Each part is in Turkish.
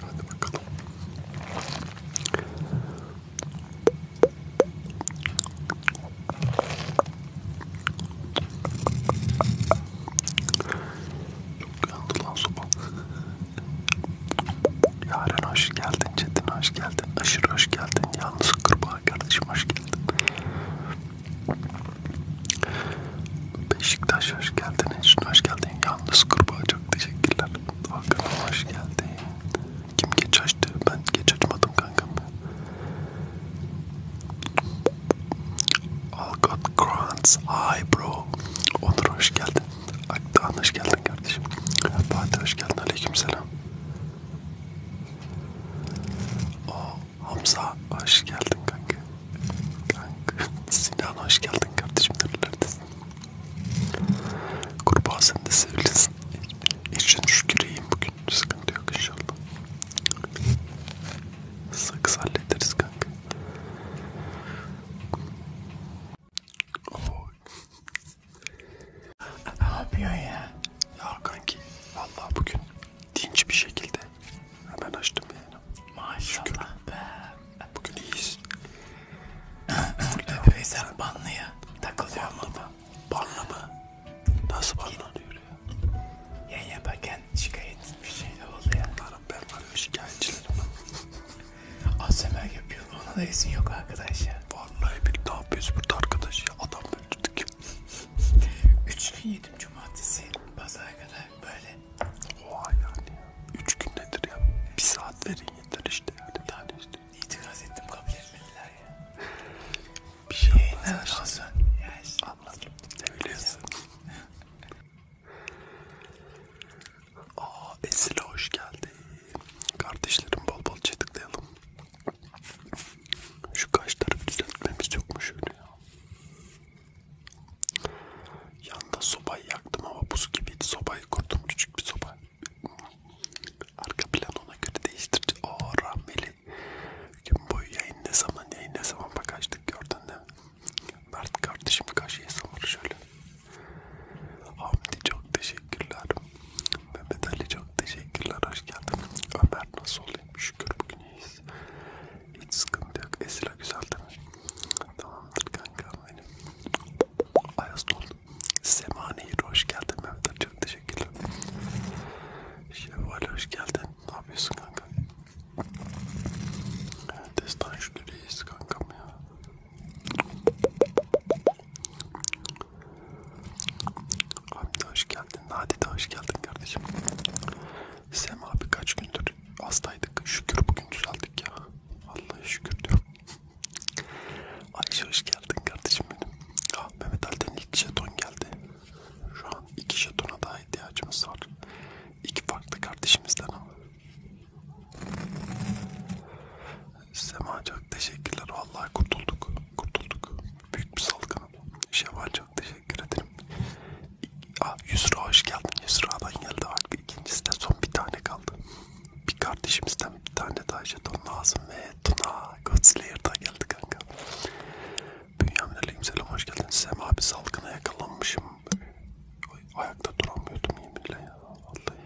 Hadi bakalım. Çok yandı lan sopa. Yaren hoş geldin, Çetin hoş geldin, Aşırı hoş geldin, Yalnız Kırbağa kardeşim hoş geldin. Beşiktaş hoş geldin, Eşin hoş geldin, Yalnız Kırbağa çok teşekkürler. Hakan hoş geldin. Kim geç açtı? Ben geç açmadım kankam. All God grants. Hi bro. Onur hoş geldin. Akdağan hoş geldin kardeşim. Fatih hoş geldin. Aleykümselam. O Hamza hoş geldin kanka. Kanka. Sinan hoş geldin kardeşim. Nerelerdesin? Kurbağa sen de sevilirsin. İçin şüküreyim bugün. Sıkıntı yok inşallah. Sakız hallederiz kanka. Oh. ne yapıyor ya? Ya kanki vallahi bugün dinç bir şekilde hemen açtım yani. Maşallah Şükür. be. Bugün iyiyiz. Veysel Banlı'ya takılıyor mu? Banlı mı? Nasıl banlı oluyor ya? Yayın yaparken şikayet bir şey de oldu ya. Bunlarım ben var ya şikayetçilerim. ASMR yapıyor. Ona da izin yok arkadaş ya. Vallahi bir daha biz burada arkadaş ya. Adam öldürdük. Üç gün yedim cumartesi. Pazara kadar böyle. Oha yani. Üç gün nedir ya? Bir saat verin yeter işte yani bir tane işte. İtiraz ettim kabul etmediler ya. Bir şey olmaz. Hasan. Yes. Anladım. Ne biliyorsun? Aa Esile hoş geldin. Kardeşlerim bol bol çetikleyelim. Şu kaşları düzeltmemiz yok mu şöyle ya? Yanda sobayı yaktım ama buz gibi sobayı kurdum küçük bir soba. Arka plan ona göre değiştir. O rahmeli. Gün boyu yayın ne zaman yayın ne zaman bak açtık gördün de. Mert kardeşim kaşığı savur şöyle. Hamdi çok teşekkürler. Mehmet Ali çok teşekkürler. Hoş geldin. Ömer nasıl olayım? Şükür bugün iyiyiz. Hiç sıkıntı yok. Esra güzel değil mi? Tamamdır kanka benim. Ayaz oldu. Semanehir hoş geldin Mehmet çok teşekkürler. Şevval hoş geldin. Ne yapıyorsun kanka? Destan şu reis kankam ya. Hamdi hoş geldin. Nadide hoş geldin kardeşim. Sema abi kaç gündür hastaydık. Şükür bugün düzeldik ya. Vallahi şükür diyorum. Ayşe hoş geldin kardeşim benim. Ah, Mehmet Ali'den ilk jeton geldi. Şu an iki jetona daha ihtiyacımız var. İki farklı kardeşimizden ama. Sema çok teşekkürler. Vallahi kurtulduk. Kurtulduk. Büyük bir salgın. Şevval çok teşekkür ederim. Ah, Yusra hoş geldin. Yusra'dan geldi. Artık ikincisi de son bir tane kaldı bir kardeşimizden bir tane daha jeton lazım ve Tuna Godslayer da geldi kanka. Bünyamin Aleyküm selam hoş geldin. Sem abi salgına yakalanmışım. Ayakta duramıyordum yeminle ya. Vallahi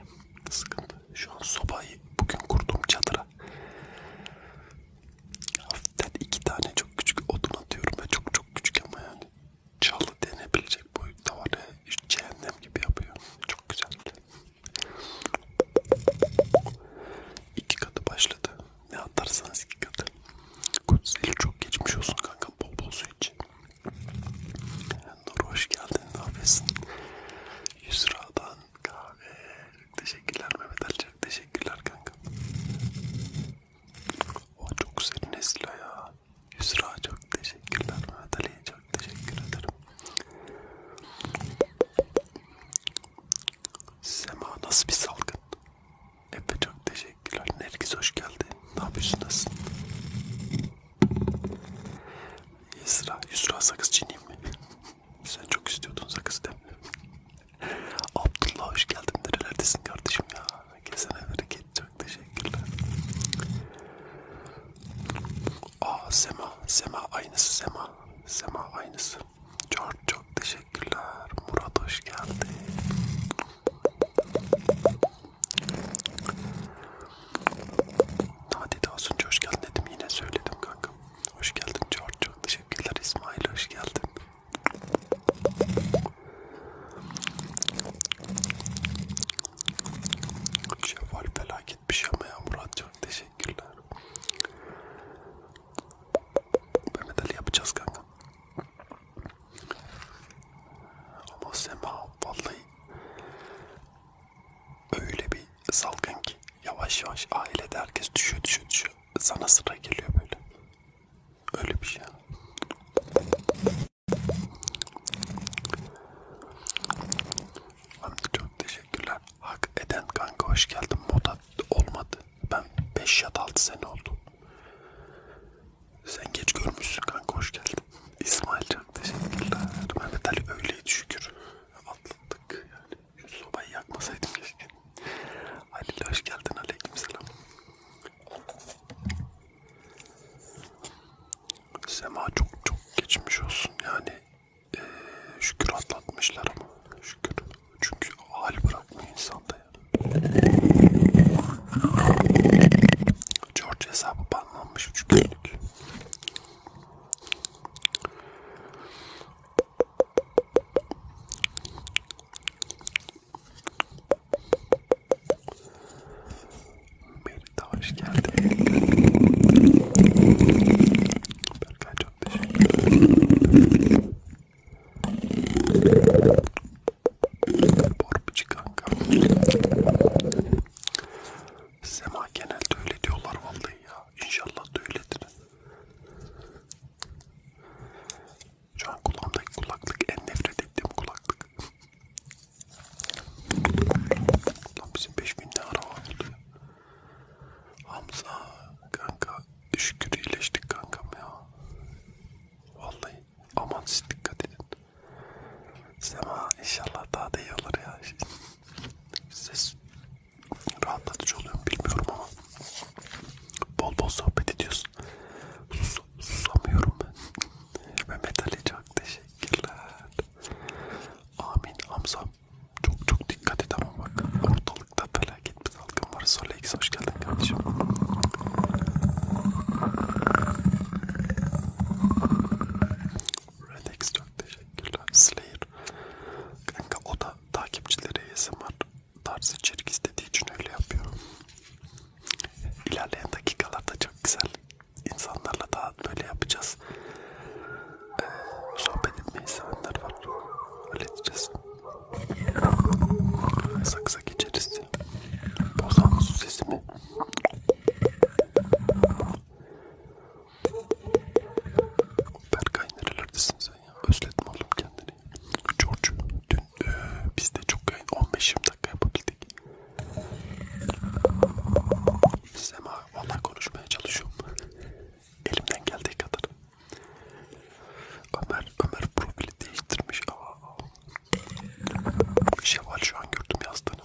sıkıntı. Şu an sobayı bugün kurdum çadıra. Hafiften iki tane çok küçük odun atıyorum ve çok çok küçük ama yani çalı denebilecek boyutta var ya. Cehennem gibi yapıyor. Çok güzel. İki katı başladı. Ne atarsanız iki katı. Kutseli çok geçmiş olsun kanka. Bol bol su iç. Nur hoş geldin. Ne yapıyorsun? Yusra'dan kahve. Teşekkürler Mehmet Ali. Oh, çok teşekkürler kanka. O çok güzel Nesla ya. Yusra çok teşekkürler. Mehmet Ali'ye çok teşekkür ederim. Sema nasıl bir salgın? Efe çok teşekkürler. Nergis hoş geldi. Ne yapıyorsun nasılsın? Yusra, Yusra sakız çiğneyim mi? Sen çok istiyordun sakız değil mi? Abdullah hoş geldin. Nerelerdesin kardeşim ya? Kesene bereket. Çok teşekkürler. Aa Sema, Sema aynısı Sema. Sema aynısı. Çok çok teşekkürler. Murat hoş geldin. Nadide Asuncu hoş geldin dedim yine söyledim kanka. Hoş geldin çok çok teşekkürler İsmail hoş geldin. Şevval Bela gitmiş ama ya Murat çok teşekkürler. Mehmet Ali yapacağız kanka. Ama Sema vallahi öyle bir salgın ki yavaş yavaş ailede herkes düşüyor düşüyor düşüyor. Sana sıra geliyor böyle. Öyle bir şey. Çok teşekkürler. Hak eden kanka hoş geldin. Moda olmadı. Ben 5 ya da 6 sene oldu. Sen geç görmüşsün kanka hoş geldin. İsmail çok teşekkürler. Mehmet Ali öyleydi şükür. Atlattık yani. Şu sobayı yakmasaydım keşke. Halil hoş geldin. Aleyküm selam. Sema çok çok geçmiş olsun yani ee, şükür atlatmışlar ama şükür çünkü hal bırakmıyor insanda yani. George hesabı banlanmış 3 günlük. Benim de hoş geldin. Berkay çok teşekkür ederim. Borbici kanka. Sema genelde öyle diyorlar vallahi ya. İnşallah da öyledir. Şu an kulağımdaki kulaklık en nefret ettiğim kulaklık. Lan bizim 5000 ne araba oldu ya. Hamza kanka şükür iyileştik kankam ya. Vallahi aman siz dikkat edin. Sema inşallah daha da iyi olur ya. Siz rahatlatıcı oluyor mu bilmiyorum ama bol bol sohbet ediyorsun. Sus, susamıyorum ben. Mehmet Ali çok teşekkür Teşekkürler. Amin Hamza. Çok çok dikkat et ama bak. Ortalıkta felaket bir salgın var. Solex hoş geldin kardeşim. Redex çok teşekkürler. Slayer. Kanka o da takipçileri ASMR tarzı içerik istediği için öyle yapıyor. İlerleyen dakikalarda çok güzel insanlarla daha böyle yapacağız. Ee, sohbet etmeyi sevenler var. Halledeceğiz. Saksa geçeriz. Bozan su sesimi. Berkay nerelerdesin sen ya? Özletme oğlum kendini. George dün e, biz de çok yayın 15-20 dakika yapabildik. Sema Onunla konuşmaya çalışıyorum. Elimden geldiği kadar. Ömer, Ömer profili değiştirmiş. Aa. Şevval şu an gördüm yazdığını.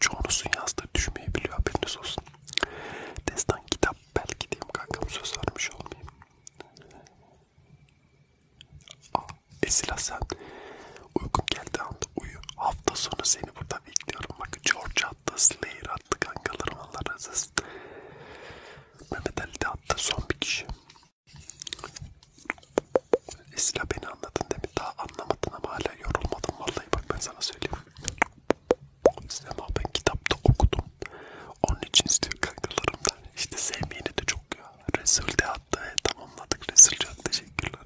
Çoğunuzun yazdığı düşmeyebiliyor haberiniz olsun. Destan kitap belki diyeyim kankam söz vermiş olmayayım. Aa, Esila sen uygun geldi ama Rahat uyu. Hafta sonu seni burada bekliyorum. Bak George attı, Slayer attı kankalarım Allah razı olsun. Mehmet Ali de attı son bir kişi. Esra beni anladın değil mi? Daha anlamadın ama hala yorulmadın vallahi bak ben sana söyleyeyim. Sinema ben kitapta okudum. Onun için istiyor kankalarımdan. İşte sevmeyeni de çok ya. Resul de attı. Tamamladık Resul çok teşekkürler.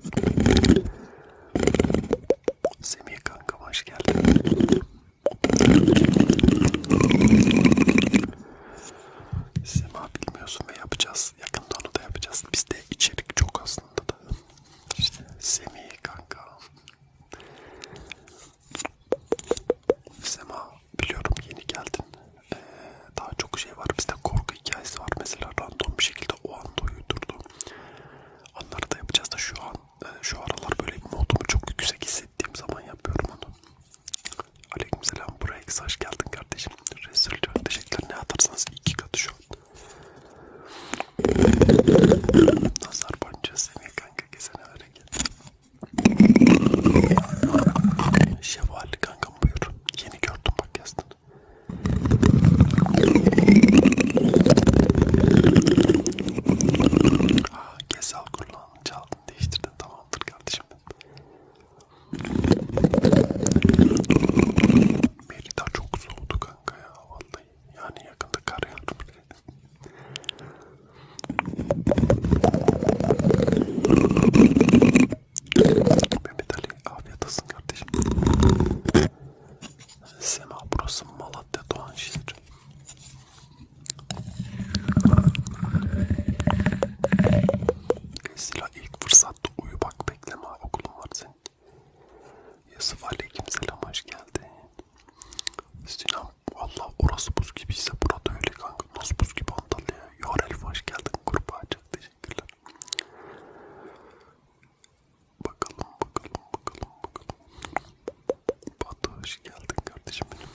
Semih kanka hoş geldin. Sema bilmiyorsun ve yapacağız. Yakında onu da yapacağız. Bizde içerik çok aslında da. İşte Semih kanka. Sema biliyorum yeni geldin. Ee, daha çok şey var. Bizde korku hikayesi var. Mesela random bir şekilde o anda uyudurdu. Onları da yapacağız da şu an e, şu aralar böyle modumu çok yüksek hissettiğim zaman yapıyorum onu. Aleykümselam buraya hoş geldin kardeşim. Resul çok teşekkürler. Ne atarsanız iki katı şu an. Nazar boncuğu seni kanka kesene hareket. Şevval kankam buyur. Yeni gördüm bak yazdın. Ah, Kesal kulağını çaldın değiştirdin tamamdır kardeşim. Merida çok soğudu kanka ya vallahi. Yani yakında kar yağdı. Mehmet Ali afiyet olsun kardeşim. Sema burası Malatya Doğanşehir. Sıla ilk fırsatta uyu bak bekleme okulun var senin. Yusuf aleykümselam hoş geldin. Sinan valla orası buz gibiyse burada öyle kanka. Nasıl buz gibi Antalya? Yar Elif hoş geldin kurbağa çok teşekkürler. Bakalım bakalım bakalım bakalım. Batu hoş geldin kardeşim benim.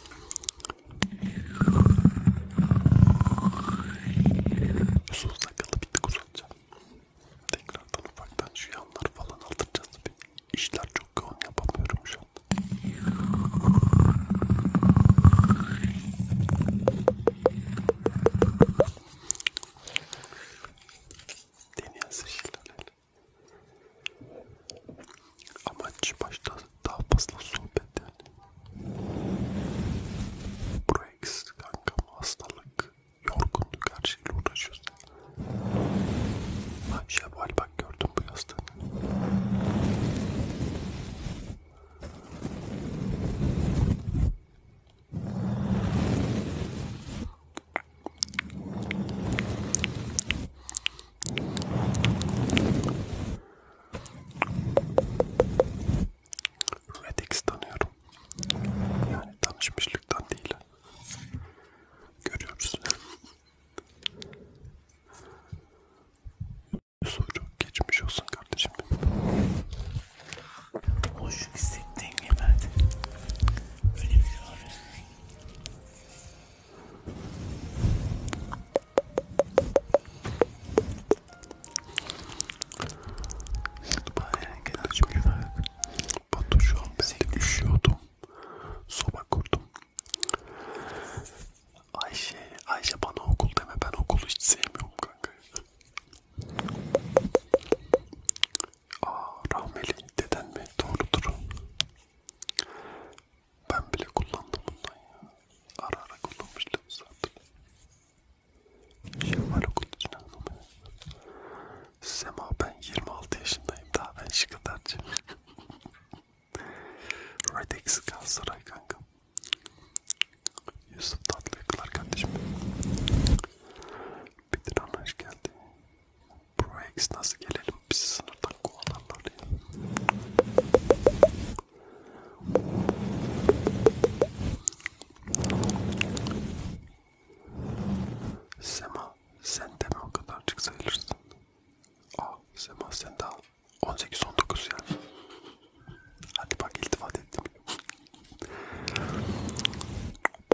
Uzun sakalı bir tık uzatacağım. Tekrardan ufaktan şu yanları falan aldıracağız. İşler çok yoğun yapamıyorum şu an. Deneyen şekillerle. Amaç başta daha fazla sohbet yani. Breaks kankam hastalık, yorgunluk her şeyle uğraşıyoruz. Ben şevval bak gördüm bu yastığını. Redix tanıyorum. Yani tanışmışlıktan değil. Görüyoruz. Soru geçmiş olsun kardeşim. Hoş hissettiğin gibi. Öyle bir şey abi. Bayağı genel cümleler. Batu şu an ben üşüyordum. Soba kurdum. Ayşe, Ayşe bana okul deme. Ben okulu hiç sevmiyorum kanka. Aa, rahmeli deden mi? Doğrudur. Ben bile kullandım bundan ya. Ara ara kullanmıştım zaten. Şey var okul için anlamaya. Sema ben 26 yaşındayım. Daha ben şıkıdarcıyım. Redex Galatasaray kanka. Yusuf Tatlı Kılar kardeşim. Bedir Anlaş geldi. Proex nasıl gelelim biz sınırdan kovalarlar ya. Sema sen de mi o kadarcık sayılırsın? Aa Sema sen de al. 18-19 yani. Hadi bak iltifat ettim.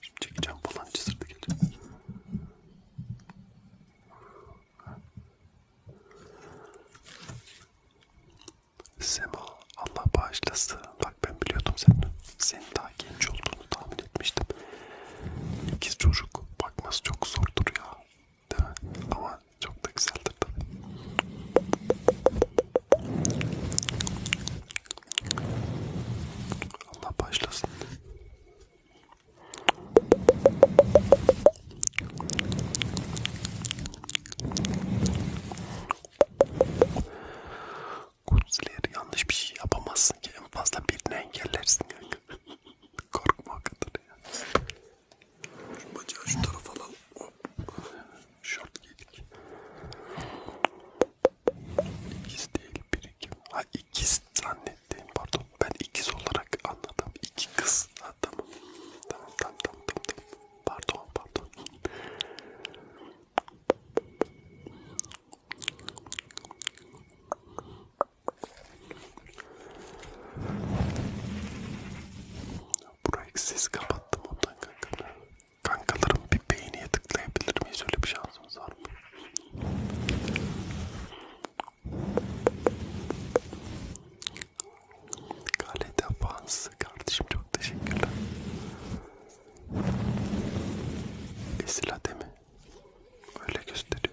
Şimdi çekeceğim falan cızırdı geldi. Sema Allah bağışlasın. Bak ben biliyordum senin, senin daha genç olduğunu tahmin etmiştim. İkiz çocuk bakması çok zordur ya. Değil mi? Ama çok da güzeldir tabii. Allah başlasın. Kutsileri yanlış bir şey yapamazsın ki en fazla birini engellersin kanka. Korkma o kadar ya. Şu bacağı şu tarafa alalım. Hop. Şort giydik. İkiz değil biri kim? Ha ikiz zannettim pardon. Ben ikiz olarak anladım. İki kız. Ha tamam. Tamam tamam tamam. tamam. Pardon pardon. Burayı siz kapattım ondan kanka. Kankalarım bir beğeniye tıklayabilir miyiz? Öyle bir şansımız var mı? Galeta Fans kardeşim çok teşekkürler. Esilade mi? Öyle gösteriyor.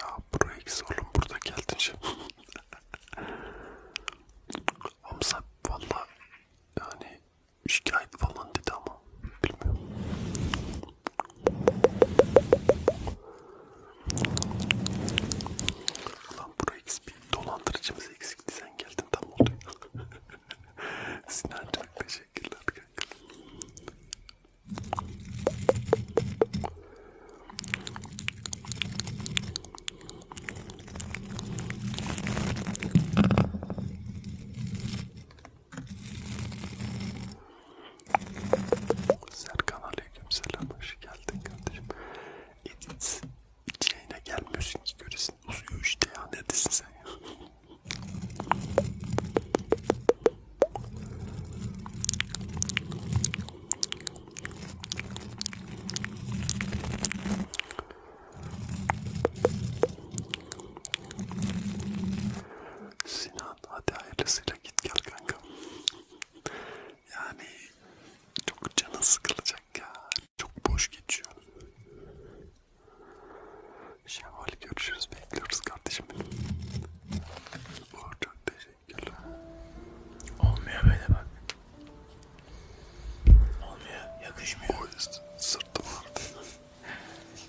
Ya buraya eksi oğlum burada geldin şimdi. Hamza valla yani şikayet falan dedi ama bilmiyorum. Ulan buraya bir dolandırıcımız eksikti sen geldin tam oldu. Sinan Çakbeş Teşekkürler kanka. Serkan aleyküm selam hoş geldin kardeşim. Edit hiç yayına gelmiyorsun ki görürsün neredesin? Uzuyor işte ya neredesin sen ya? Sinan hadi hayırlısıyla git gel kanka. Yani çok canın sıkılacak ya. Çok boş geçiyor. Şevval görüşürüz. Bekliyoruz kardeşim. Uğur çok teşekkürler. Olmuyor böyle bak. Olmuyor. Yakışmıyor. O yüzden sırtım vardı.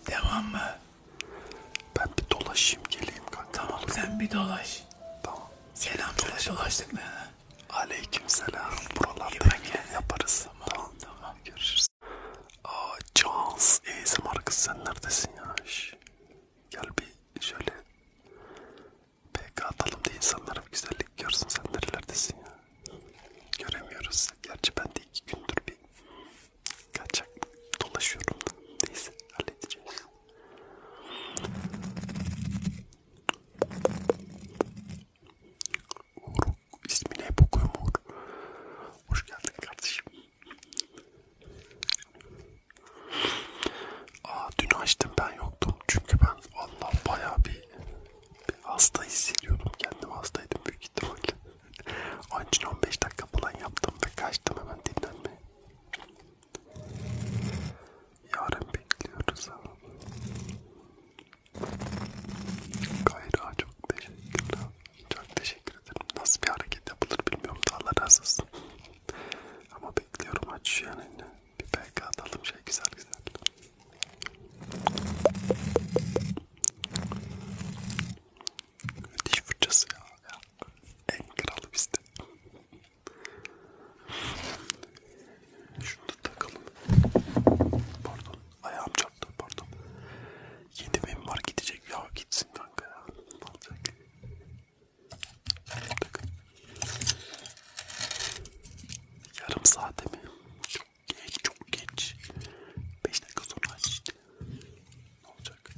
Devam mı? Ben bir dolaşayım geleyim kanka. Tamam sen bir dolaş. Tamam. Selam söyle dolaştık mı? Aleyküm selam. Buralarda yemek yaparız. Tamam. tamam. tamam. Görüşürüz. Aa Cans ASMR kız sen neredesin ya? Şş. Gel bir şöyle PK atalım da insanlara bir güzellik görsün sen nerelerdesin ya? Göremiyoruz. Gerçi ben de iki gündür bir kaçak dolaşıyorum da. Neyse halledeceğiz. Uğur ismini hep okuyorum Uğur. Hoş geldin kardeşim. Aa, dün açtım ben yoktum çünkü ben valla bayağı bir, bir hasta hissediyordum kendimi hastaydım büyük ihtimalle. Onun için 15 dakika falan yaptım ve kaçtım hemen dinlenmeye. Yarın bekliyoruz abi. Gayra çok teşekkürler. Çok teşekkür ederim. Nasıl bir hareket yapılır bilmiyorum da Allah razı olsun. Ama bekliyorum aç yani. Bir PK atalım şey güzel güzel. Diş fırçası ya. ya. En kralı bizde. Şunu da takalım. Pardon ayağım çarptı pardon pardon. 7000 var gidecek ya gitsin kanka ya. Alacak. Yarım saate mi? Çok geç çok geç. 5 dakika sonra aç. Ne olacak?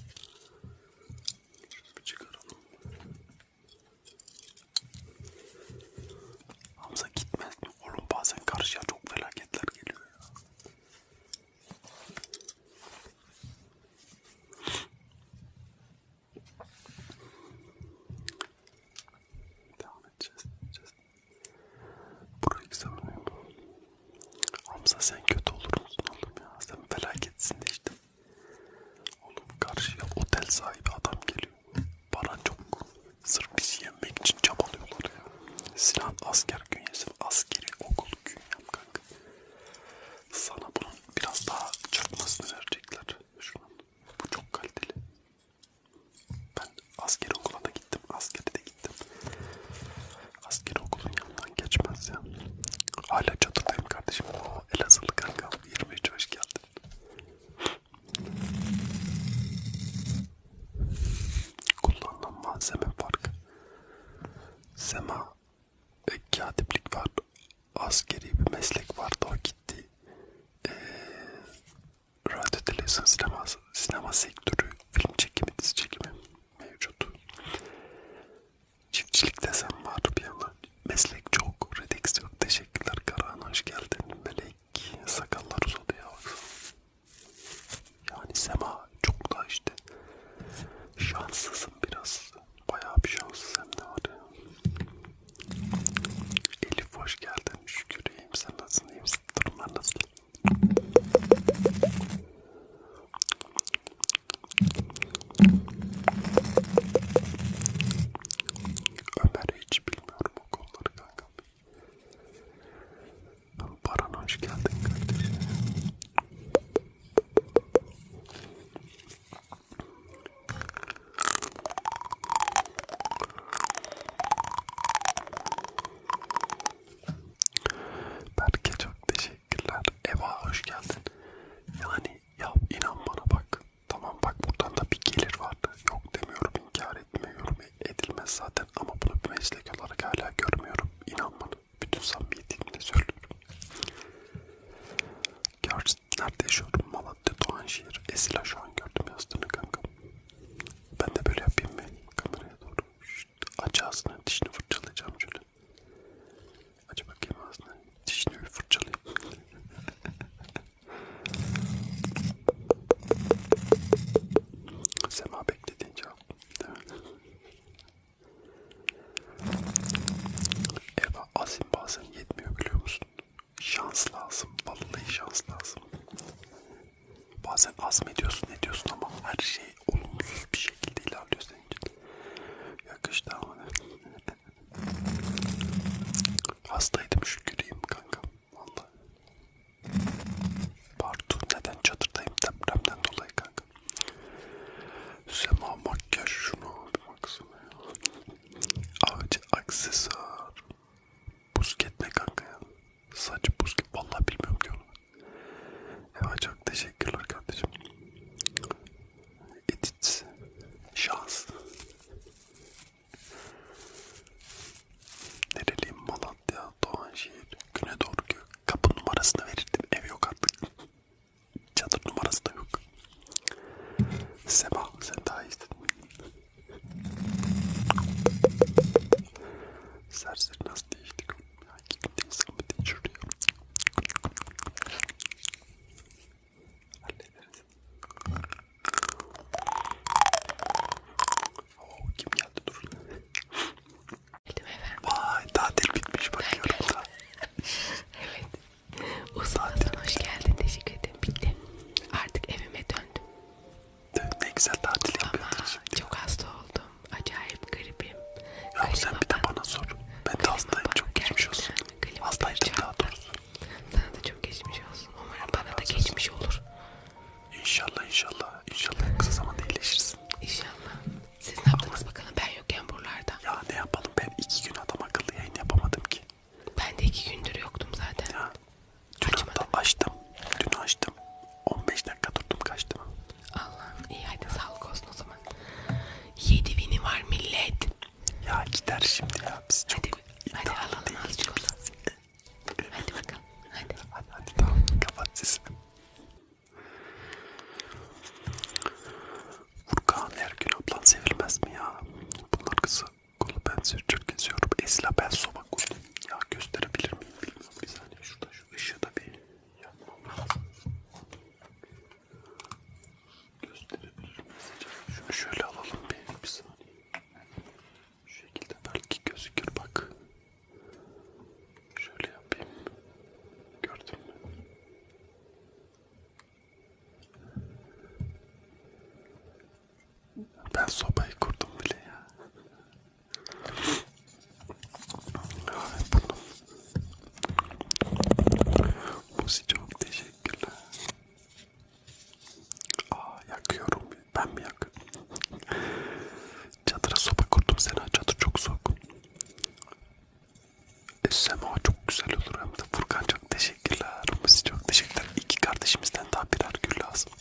Şunu bir çıkaralım. Hamza gitmez mi? Oğlum bazen karşıya çok felaketler geliyor ya. Devam edeceğiz. edeceğiz. Burayı savunuyorum. Hamza sen kötü olur musun oğlum ya? Sen felaketsin de işte. Oğlum karşıya otel sahibi adam geliyor. Paran çok. Sırf bizi yemek için çabalıyorlar ya. Sinan asker künyesi, askeri okul künyem kanka. Sana bunun biraz daha çakmasını verecekler. Şunun. Bu çok kaliteli. Ben askeri okula da gittim, askeri de gittim. Askeri okulun yanından geçmez ya. Hala çatıdayım kardeşim. O Elazığlı kanka. 23 hoş geldin. Kullanılan malzeme farkı. Sema e, katiplik var. Askeri bir meslek vardı o gitti. E, radyo, televizyon, sinema, sinema sektörü, film çekimi, dizi çekimi mevcut. Çiftçilik desem var bir yana. Meslek çok, redex yok. Teşekkürler Karahan hoş geldin. Melek sakallar uzadı ya. Yani Sema çok da işte şanssızım biraz. Bayağı bir şanssız hem de var ya. Elif hoş geldin. Şükür iyiyim. Sen nasılsın? İyiyim. Durumlar nasıl? Ömer hiç bilmiyorum o konuları kankam. Baran hoş geldin kardeşim. Berke çok teşekkürler. Eva hoş geldin. Yani ya inan bana bak. Tamam bak buradan da bir gelir vardı. Yok demiyorum inkar etmiyorum edilmez zaten zaten ama bunu bir meslek olarak hala görmüyorum. İnan bana. Bütün samimiyetimle söylüyorum. Gerçi nerede yaşıyorum? Malatya, Doğanşehir, Esila şu an gördüm yazdığını kanka. Ben de böyle yapayım mı? Kameraya doğru. Şşt, aç ağzını, dişini fırçalayacağım şöyle. Aç bakayım ağzını, dişini bir fırçalayayım. Sema beklediğince yok. Eva azim bazen yetmiyor biliyor musun? Şans lazım. Vallahi şans lazım. Bazen azmediyorsun ne diyorsun ama her şey olumsuz bir şekilde ilerliyor senin için. Yakıştı ama ne? Hastaydım şüküreyim kankam. Vallahi. Pardon neden çadırdayım depremden dolayı kanka. Sema makyaj şunu bir baksana ya. Avcı aksesuar. Busket ne kanka ya? Saç busket vallahi bilmiyorum ki onu. Evet çok teşekkürler kardeşim. Edit. Şans. Nereliyim mala Sabiha Doğanşehir güne doğru gök. Kapı numarasını verirdim. Ev yok artık. Çadır numarası da yok. Seba sen daha iyisin. Serseri nasıl değişti? Ya gittim sıkıntı şuraya. Hallederiz. Oo, kim geldi dur. Geldim efendim. Vay tatil bitmiş bakıyorum da. evet. Uzun Hasan hoş geldin teşekkür ederim. Bitti. Artık evime döndüm. Ne güzel tatil yapıyordun şimdi. çok hasta oldum. Acayip gripim. Ya Klima sen bir de bana sor. Ben de hastayım çok geçmiş olsun. Hastaydım daha doğrusu. Sana da çok geçmiş olsun. Umarım Allah bana da geçmiş olsun. olur. İnşallah inşallah. İnşallah kısa zamanda iyileşirsin. İnşallah. Siz ne yaptınız bakalım ben yokken buralarda? Ya ne yapalım ben iki gün adam akıllı yayın yapamadım ki. Ben de iki gündür yoktum zaten. Ya. Dün Açmadım. hatta açtım. Dün açtım. 15 dakika durdum kaçtım. Allah'ım iyi hadi sağlık olsun o zaman. 7 vini var millet. Ya gider şimdi ya biz çok Hadi, hadi iddialı alalım değiliz. azıcık onu. Hadi bakalım hadi. Hadi hadi tamam kapat sesini. Furkan Ergün ablan sevilmez mi ya? Bunlar kısa kolu ben sürçür geziyorum. Esla ben soba kurdum. Ya gösterebilir miyim bilmiyorum. Bir saniye şurada şu ışığı da bir yapmam lazım. Gösterebilir miyiz acaba? Şunu şöyle alalım bir, bir saniye. Şu şekilde belki gözükür bak. Şöyle yapayım. Gördün mü? Ben sobayı kurdum bile ya. Bunun... Musi çok teşekkürler. Aa yakıyorum. Ben mi yakıyorum? Çatıra sopa kurdum Sena. Çatır çok soğuk. Sema çok güzel olur hem de Furkan çok teşekkürler. Mısı çok teşekkürler. İki kardeşimizden daha birer gül lazım.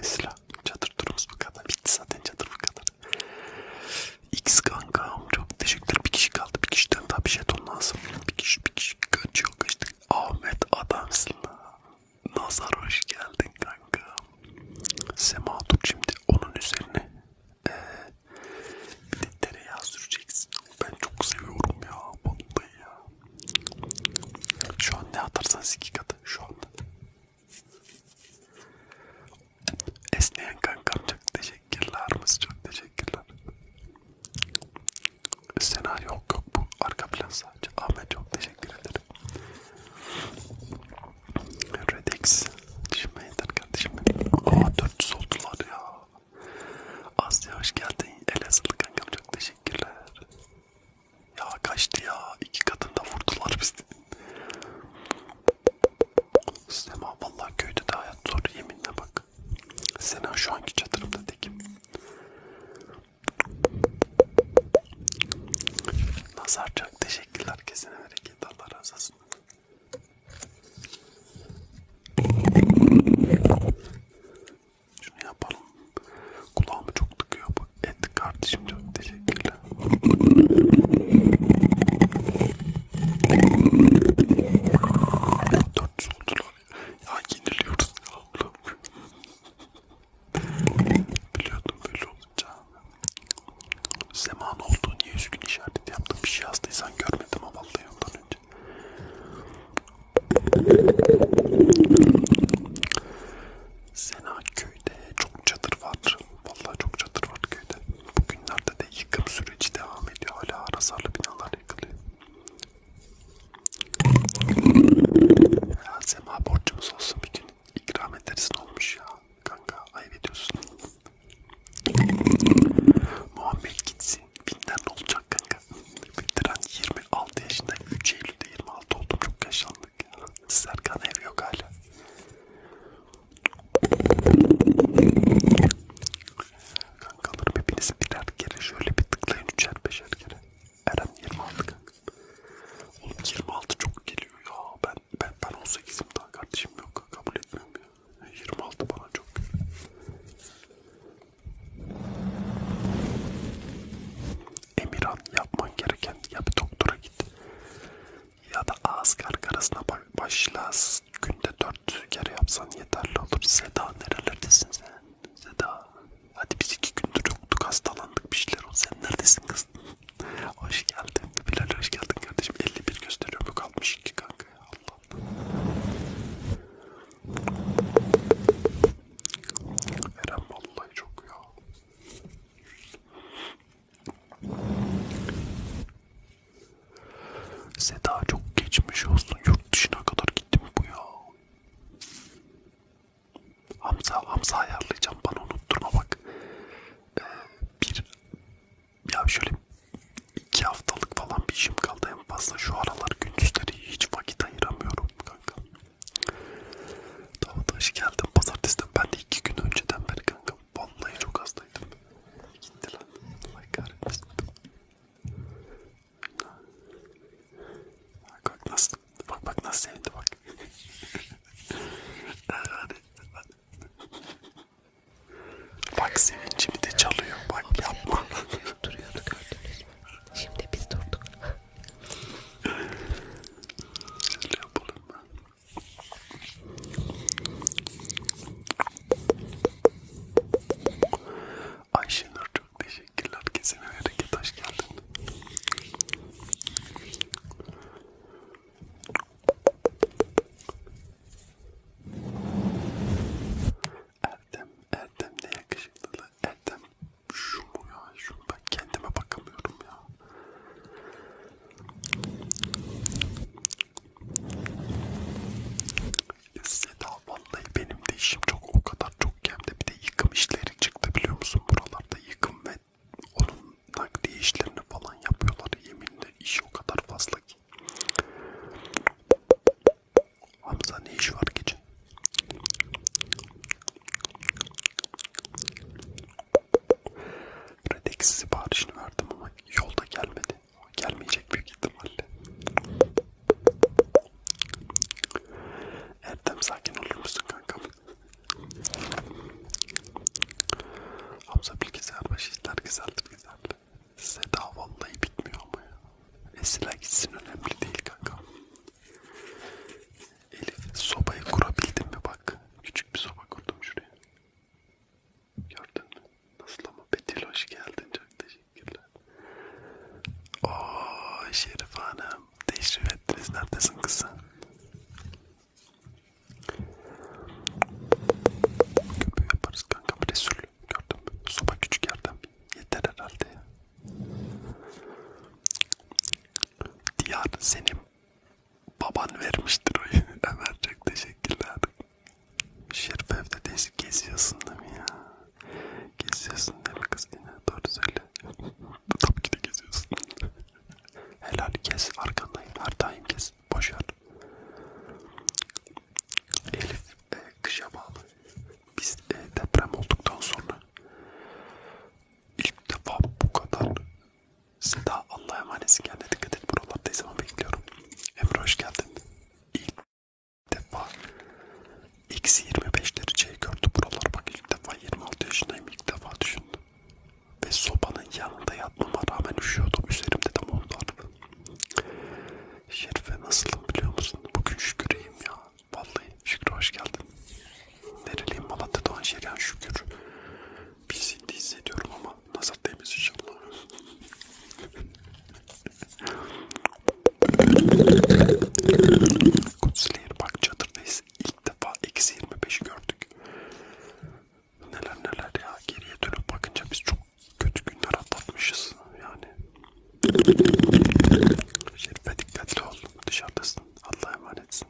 Esra çadır turumuz bu kadar. Bitti zaten çadır bu kadar. X kankam çok teşekkürler. Bir kişi kaldı. Bir kişiden daha bir jeton lazım. Bir kişi bir kişi kaçıyor kaçtı. Ahmet adamsın lan. Nazar hoş geldin kanka. Sema dur şimdi onun üzerine ee, bir de tereyağı süreceksin. Ben çok seviyorum ya. Vallahi ya. Şu an ne atarsan iki katı şu anda. Esneyen kankam çok teşekkürler. Mısın çok teşekkürler. Sena yok yok bu arka plan sadece. Ahmet çok teşekkür ederim. Redex. Düşme yeter kardeşim benim. Aa 400 oldular ya. Asya hoş geldin. Elazığlı kankam çok teşekkürler. Ya kaçtı ya. iki katında vurdular bizi. Sema vallahi köyde de hayat zor yeminle bak. Sena şu anki çadırımda tekim. Nazar çok teşekkürler kesene bereket Allah razı olsun. Şunu yapalım. Kulağımı çok tıkıyor bu et kardeşim çok teşekkürler. Dört soldular. Ya yeniliyoruz ya ablam. Biliyordum böyle olacağını. Zaman oldu niye üzgün işareti yaptım? Bir şey yazdıysan görmedim ama vallahi ondan önce. Sena köyde çok çadır var. Vallahi çok çadır var köyde. Bugünlerde de yıkım süreci devam ediyor. Hala arasarlı binalar yıkılıyor. Ya Sema borcumuz olsun bir gün. İkram edersin olmuş ya. Kanka ayıp ediyorsun. Muhammed gitsin. Binden ne olacak kanka? Bitiren 26 yaşında 3 Eylül'de 26 oldum. Çok yaşlandık ya. Serkan ev yok hala. Kankalarım hepiniz birer kere şöyle bir tıklayın üçer beşer kere. Eren 26 kanka. Oğlum 26 çok geliyor ya. Ben ben ben 18'im daha kardeşim yok. Kabul etmiyorum ya. 26 bana çok. Emirhan yapman gereken ya bir doktora git ya da ağız karkarasına başla günde 4 kere yapsan yeterli olur. Seda nerelerdesiniz sen? Seda Hadi biz iki gündür yoktuk hastalandık bir şeyler oldu. Sen neredesin kız? hoş geldin. Bilal hoş geldin kardeşim. 51 gösteriyorum yok 62 kanka ya Allah Allah. Eren vallahi çok ya. Seda çok geçmiş olsun. Yurt dışına kadar gittim bu ya. Hamza, Hamza ayarlayacağım bana unutturma bak. Ee, bir, ya şöyle iki haftalık falan bir işim kaldı en fazla. Şu aralar gündüzleri hiç vakit ayıramıyorum kanka. Davut hoş geldin. Pazartesiden ben de iki gün önceden beri kanka. Vallahi çok hastaydım. Gitti lan. Allah kahretmesin. Bak nasıl, bak bak nasıl sevindi bak. hadi, hadi. Bak sevincimi de çalıyor. Bak Abi yapma. Duruyordu gördünüz mü? Şimdi biz durduk. Şöyle yapalım ben. Ayşenur'cum Teşekkürler kesene hareket hoş geldin. Erdem, Erdem ne yakışıklı Erdem şu mu ya şu ben kendime bakamıyorum ya. Seda vallahi benim de işim çok o kadar çok gemde bir de yıkım işleri çıktı biliyor musun buralar hatta yıkım ve onun nakliye işlerini falan yapıyorlar. Yeminle iş o kadar fazla ki. Hamza ne iş var gece? Redex siparişini verdim ama yolda gelmedi. Gelmeyecek büyük ihtimalle. Erdem sakin olur musun kankam? Hamza bilgisayar başı işler güzeldir güzeldir. Seda vallahi bitmiyor ama ya. Esila gitsin önemli değil kanka. Elif sobayı kurabildin mi bak. Küçük bir soba kurdum şuraya. Gördün mü? Nasıl ama Betil hoş geldin çok teşekkürler. Ooo Şerif Hanım. Teşrif ettiniz. Neredesin kız sen? Köpüğü yaparız kanka. Bir Resul gördüm. Soba küçük yerden. Yeter herhalde ya. Diyar senin baban vermiştir o Ömer çok teşekkürler. Şerif evde geziyorsun değil mi ya? Geziyorsun değil mi kız yine? Doğru söyle. Tabii ki de geziyorsun. Helal kes arkandayım her daim kes. Boşver. Elif e, kışa bağlı. Biz e, deprem olduktan sonra ilk defa bu kadar siz daha Allah'a emanetsin kendine dikkat et buralarda zaman bekliyorum. Emre hoş geldin. İlk defa eksi 25 dereceyi gördü buralar bak ilk defa defa 26 yaşındayım ilk defa düşündüm. Ve sobanın yanında yatmama rağmen üşüyordum. Üzerimde de mont vardı. Şerife nasılım biliyor musun? Bugün şükür iyiyim ya. Vallahi Şükrü hoş geldin. Nereliyim Malatya Doğan Şerihan Şükür. Bilsinti hissediyorum ama nazar değmez inşallah. Kutsulayer bak çadırdayız ilk defa eksi 25 gördük. Neler neler ya geriye dönüp bakınca biz çok kötü günler atlatmışız yani. Şerife dikkatli ol dışarıdasın Allah'a emanetsin.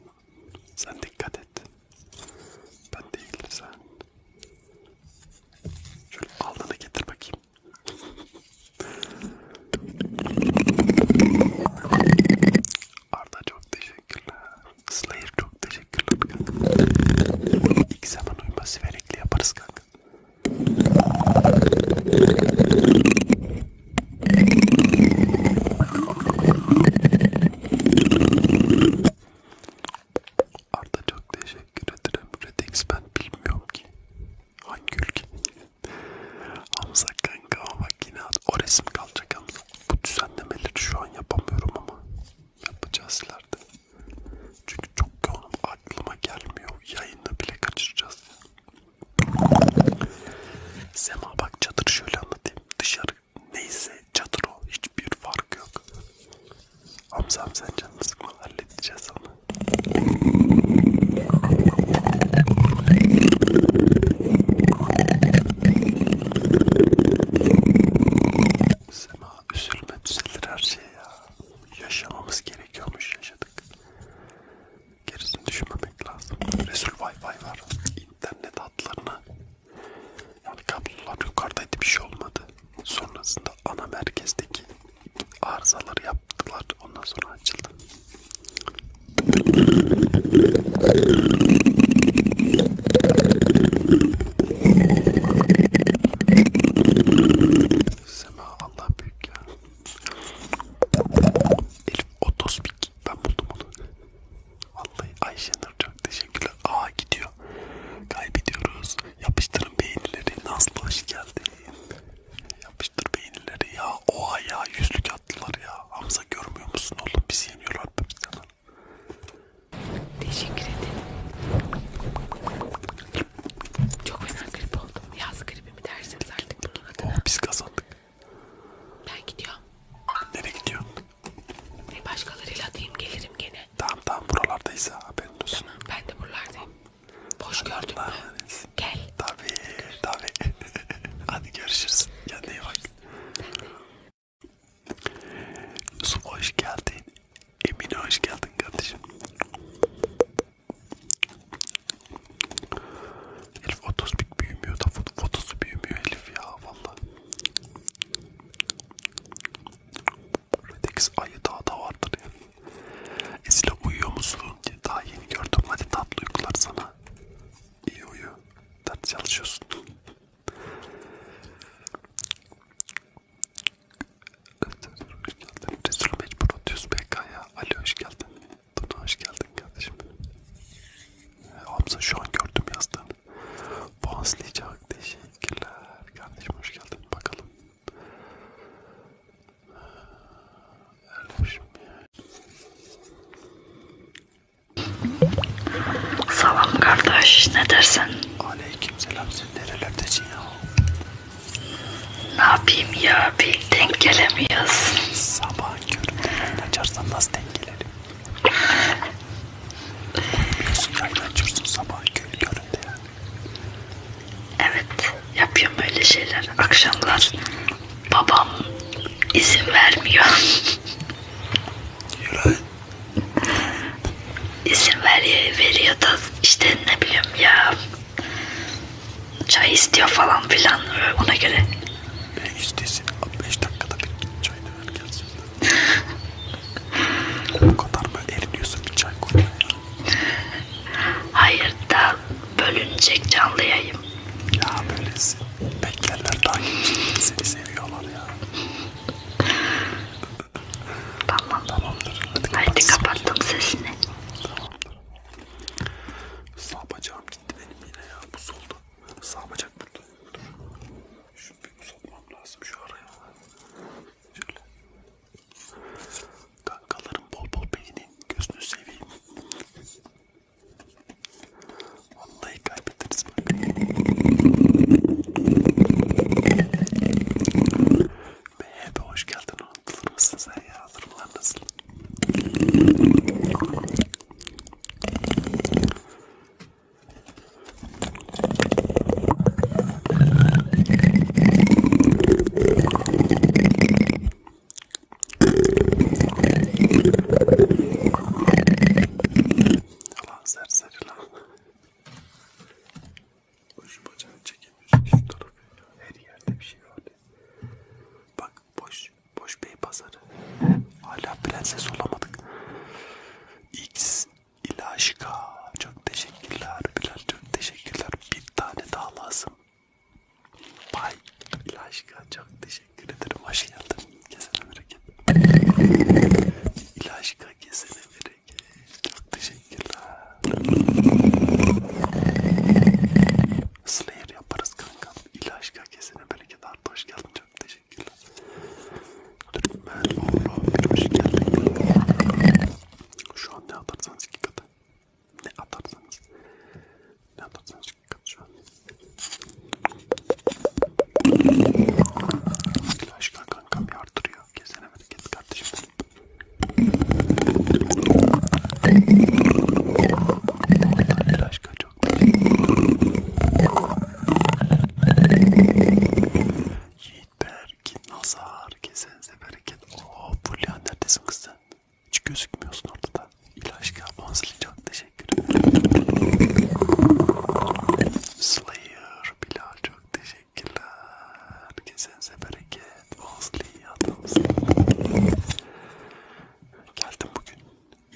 Sen dikkat et. Ben değil sen. Şöyle alnını getir bakayım. Arda çok teşekkürler. Slayer çok teşekkürler kanka. İlk zaman uyuma siverekli yaparız kanka. Arda çok teşekkür ederim. Redex ben bilmiyorum ki. Hangi ülke? Hamza kanka ama bak yine o resim kalacak Hamza. Bu düzenlemeleri şu an yapamıyorum ama yapacağız ileride. Çünkü çok yoğunum aklıma gelmiyor. Yayını bile kaçıracağız. Sema bak çadır şöyle anlatayım. Dışarı neyse çadır o. Hiçbir fark yok. Hamza sen canını sıkma halledeceğiz ama. Sema üzülme düzelir her şey ya. Yaşamamız gerekiyormuş yaşadık. Gerisini düşünmemek lazım. Resul Wi-Fi var. İnternet hatlarına. Yani kablolar yukarıdaydı bir şey olmadı. Sonrasında ana merkezdeki arızaları yaptılar. Ondan sonra açıldı. Sema Allah büyük ya. Elif Otospik. Ben buldum onu. Vallahi Ayşenur çok teşekkürler. Aa gidiyor. Kaybediyoruz. Yapıştırın beğenileri. Nazlı hoş geldin. Yapıştır beğenileri ya. Oha ya yüzlük attılar ya. Hamza görmüyor musun oğlum? Bizi yeniyorlar bizden. Teşekkür ederim. Çok fena grip oldum. Yaz gribi mi dersiniz artık bunun adına? Oh, biz kazandık. Ben gidiyorum. Nereye gidiyorsun? E başkalarıyla atayım gelirim gene. Tamam tamam buralardayız ha haberin olsun. Tamam ben de buralardayım. Boş gördün mü? Gel. Tabii tabii. Hadi görüşürüz. Kendine iyi bak. Yusuf hoş geldin. Emine hoş geldin kardeşim. Elif otos büyümüyor da fotosu büyümüyor Elif ya valla. Redex ayı daha da vardır ya. Esile uyuyor musun? Daha yeni gördüm. Hadi tatlı uykular sana. İyi uyu. Dert çalışıyorsun. hoş geldin. Resul Mecbur 30 PK'ya. Ali hoş geldin. Tuna hoş geldin kardeşim. Ee, Hamza şu an gördüm yazdığını. Boğazlayacak. Teşekkürler. Kardeşim hoş geldin. Bakalım. Ee, Erdoğan. Salam kardeş, ne dersin? Aleyküm selam, sen nerelerdesin ya? Ne yapayım ya, bir denk gelemiyoruz. Sabah köründe yayın açarsan nasıl denk gelelim? Uyumuyorsun, yayın açıyorsun sabah köründe yani. Evet, yapıyorum öyle şeyler. Akşamlar babam izin vermiyor. Yürü. İzin veriyor, veriyor da işte ne bileyim ya. Çay istiyor falan filan ona göre. Ben istesin 5 dakikada bir git çayını ver gelsin. Bu kadar mı eriniyorsun bir çay koymaya? Hayır da bölünecek canlı yayım. Ya böylesi. Beklerler takipçilerini seni seviyorlar ya. Tamam. Tamamdır. Hadi, Hadi kapattım sesini. Tamamdır. Sağ bacağım gitti benim yine ya. Bu solda. Sağ bacak burada. Şunu bir uzatmam lazım şu araya. Şöyle. Kankalarım bol bol beynin gözünü seveyim. Vallahi kaybederiz bak. Mehebe hoş geldin. Unutulur musun sen ya? Hazırlar nasıl? Lan serseri lan. Boş bacağını çekemiyorsun şu tarafı. Her yerde bir şey var. Bak boş, boş bey pazarı. Hala prenses olamadık. X ilaçka. Çok teşekkürler Bilal. Çok teşekkürler. Bir tane daha lazım. Bay ilaçka. Çok teşekkürler. Teşekkür ederim. Hoş geldin. Kesene bereket. İlaçka kesene bereket. Çok teşekkürler. Slayer yaparız kankam. İlaçka kesene bereket. Artı hoş geldin. Çok teşekkürler. Türkmen oğlu. Hoş geldin. Şu an ne atarsanız iki katı. Ne atarsanız. Ben tatlını çıkartacağım. Aşkına kankam bir artırıyor. Gezenemedik git kardeşim. Halil aşkına çok Yiğit Berk, Nazar, Gezenze Bereket. Ooo Fulya neredesin kız sen? Hiç gözükmüyorsun ortada. İlaç kapmanızı çok teşekkür ederim. Slayer Bilal çok teşekkürler. Kesenize bereket. Ozli adamsın. Geldim bugün.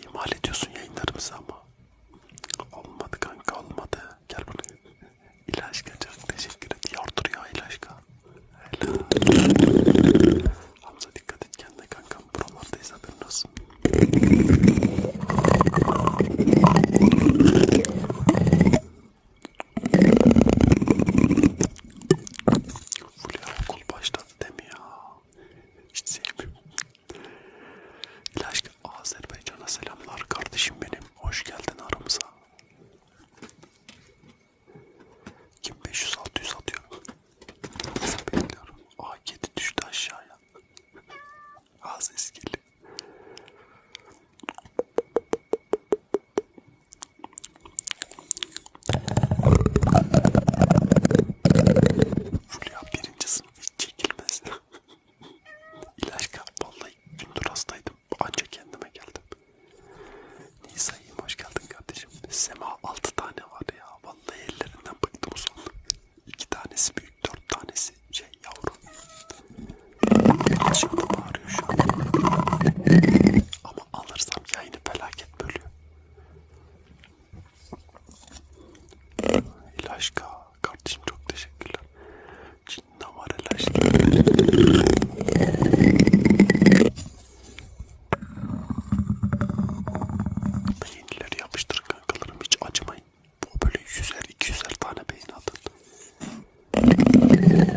İmal ediyorsun yayınlarımızı ama. Olmadı kanka olmadı. Gel buraya. İlaçka çok teşekkür et. Yardır ya İlaçka. Helal. Hamza dikkat et kendine kankam. Buralardayız haberin olsun. Fulya okul başladı demi ya. Hiç sevmiyorum. İlaçlı Azerbaycan'a selamlar kardeşim benim. Hoş geldin aramıza. Kim 500-600 atıyor? Nasıl bekliyorum? A7 düştü aşağıya. Ağzı eskildi. Fulya birinci sınıf hiç çekilmez. İlaç kap, vallahi gündür hastaydım. Ancak kendime geldim. Nisa'yım hoş geldin kardeşim. Sema altı tane var ya. Vallahi ellerinden bıktım sonra. İki tanesi büyük, dört tanesi şey yavru. Şimdi bağırıyor şu an. Ama alırsam yayını felaket bölüyor. İlaçka kardeşim çok teşekkürler. Cinna var ilaçka. Yenileri yapıştır atır kankalarım hiç acımayın. Bu böyle yüzer iki yüzer tane beyin atın. Arada gelir.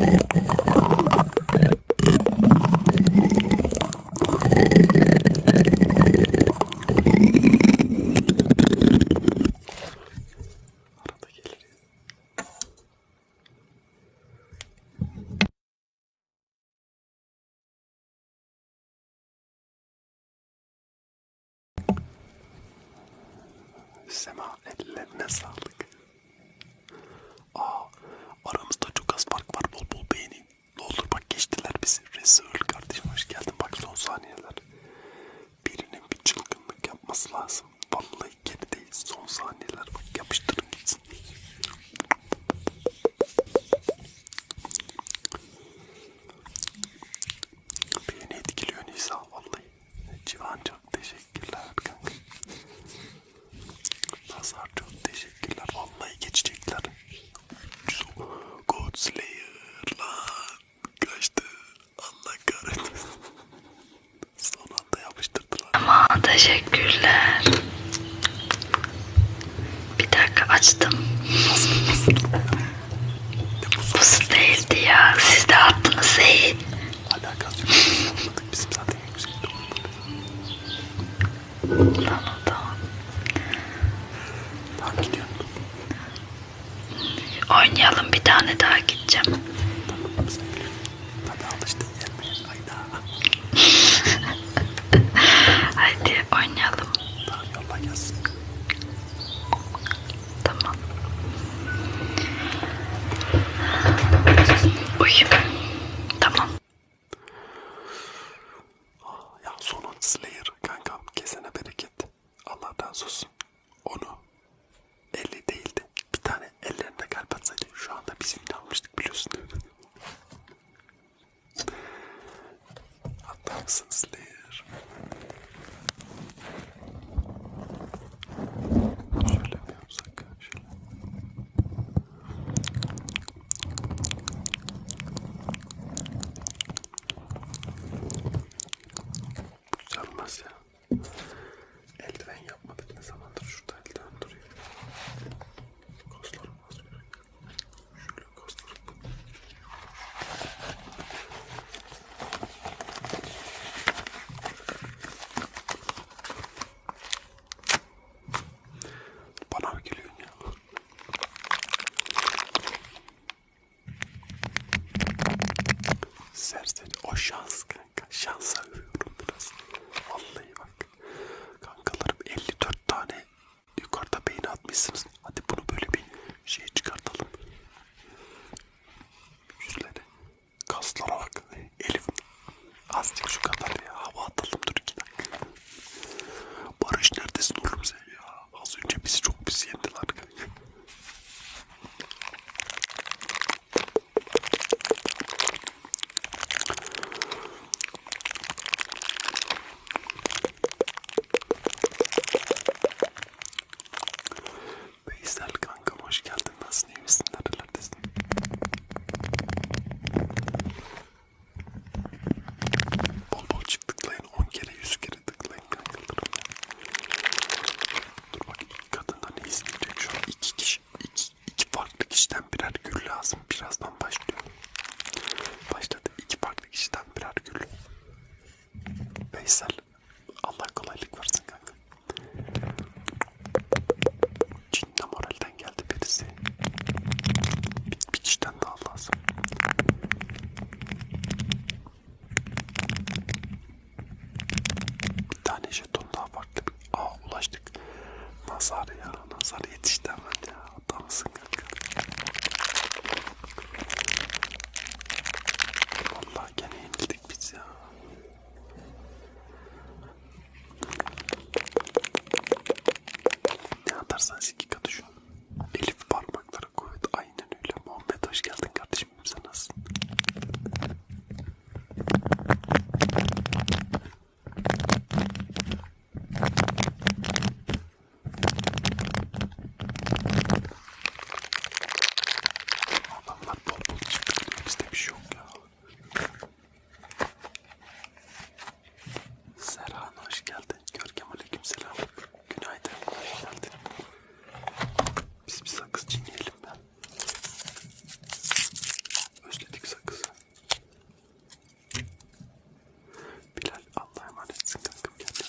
Sema ellerine sağlık. Aa, aramızda çok az fark var bol bol beğenin. Ne olur bak geçtiler bizi. Resul kardeşim hoş geldin bak son saniyeler. Birinin bir çılgınlık yapması lazım. Vallahi gerideyiz son saniyeler bak yapıştırın gitsin. Beni etkiliyor Nisa vallahi. Civan çok teşekkürler kanka. Nazar çok teşekkürler. Vallahi geçecekler. God Slayer lan. Kaçtı. Allah kahretsin. Son anda yapıştırdılar. Ama teşekkürler. Bir dakika açtım. Bu siz değildi ya. Siz de attınız Seyit. Alakası yok. Bizim zaten yüksek Tamam tamam. Tamam gidiyorum. Oynayalım bir tane daha gideceğim. Tamam sevgilim. Hadi alıştın yermeye. Ayda. Hadi oynayalım. Tamam yolla gelsin. Tamam. Uy. Tamam. Ya sonun Slayer kankam kesene bereket. Allah razı olsun. Onu 50 değildi. Bir tane ellerinde kalp atsaydı şu anda biz imle almıştık biliyorsun. Atlarsınız lir. Şöyle bir uzak, şöyle. Güzelmez ya. Eldiven yapmadık ne zamandır şurada eldiven duruyor. Kaslarım az Şöyle bana mı geliyorsun ya? Serseri o şans kanka. Şansa övüyorum biraz. Vallahi bak. Kankalarım 54 tane Yukarıda beğeni atmışsınız. Hadi bunu böyle bir şey çıkartalım. Yüzlere. Kaslara bak. Elif. Azıcık şu kadar ya. Hava atalım dur iki dakika. Barış neredesin oğlum sen ya? Az önce bizi çok pis yendiler. Veysel kankam hoş geldin. Nasılsın? İyi misin? Nerelerdesin? Bol bol çık tıklayın. 10 kere 100 kere tıklayın kankalarım ya. Dur bak kadından ne izleyecek şu an? İki kişi. Iki, iki farklı kişiden birer gül lazım. Birazdan başlıyor. Başladı. iki farklı kişiden birer gül. Veysel. Allah kolaylık versin kanka. Cinle moralden geldi birisi. Bir, bir kişiden daha lazım. Bir tane jeton daha farklı. Aa ulaştık. Nazar ya. Nazar yetişti hemen ya adamsın kanka. Vallahi gene yenildik biz ya. Ne atarsan siki katı şu. Elif parmakları kuvvet aynen öyle. Muhammed hoş geldin kardeşim. Sen nasılsın? Adamlar bol bol çıkıyor. Bizde bir şey yok ya. Serhan hoş geldin. Görkem aleykümselam. Günaydın. Hoş geldin. Biz bir sakız çiğneyelim ben. Özledik sakızı. Bilal Allah'a emanetsin kankam kendine.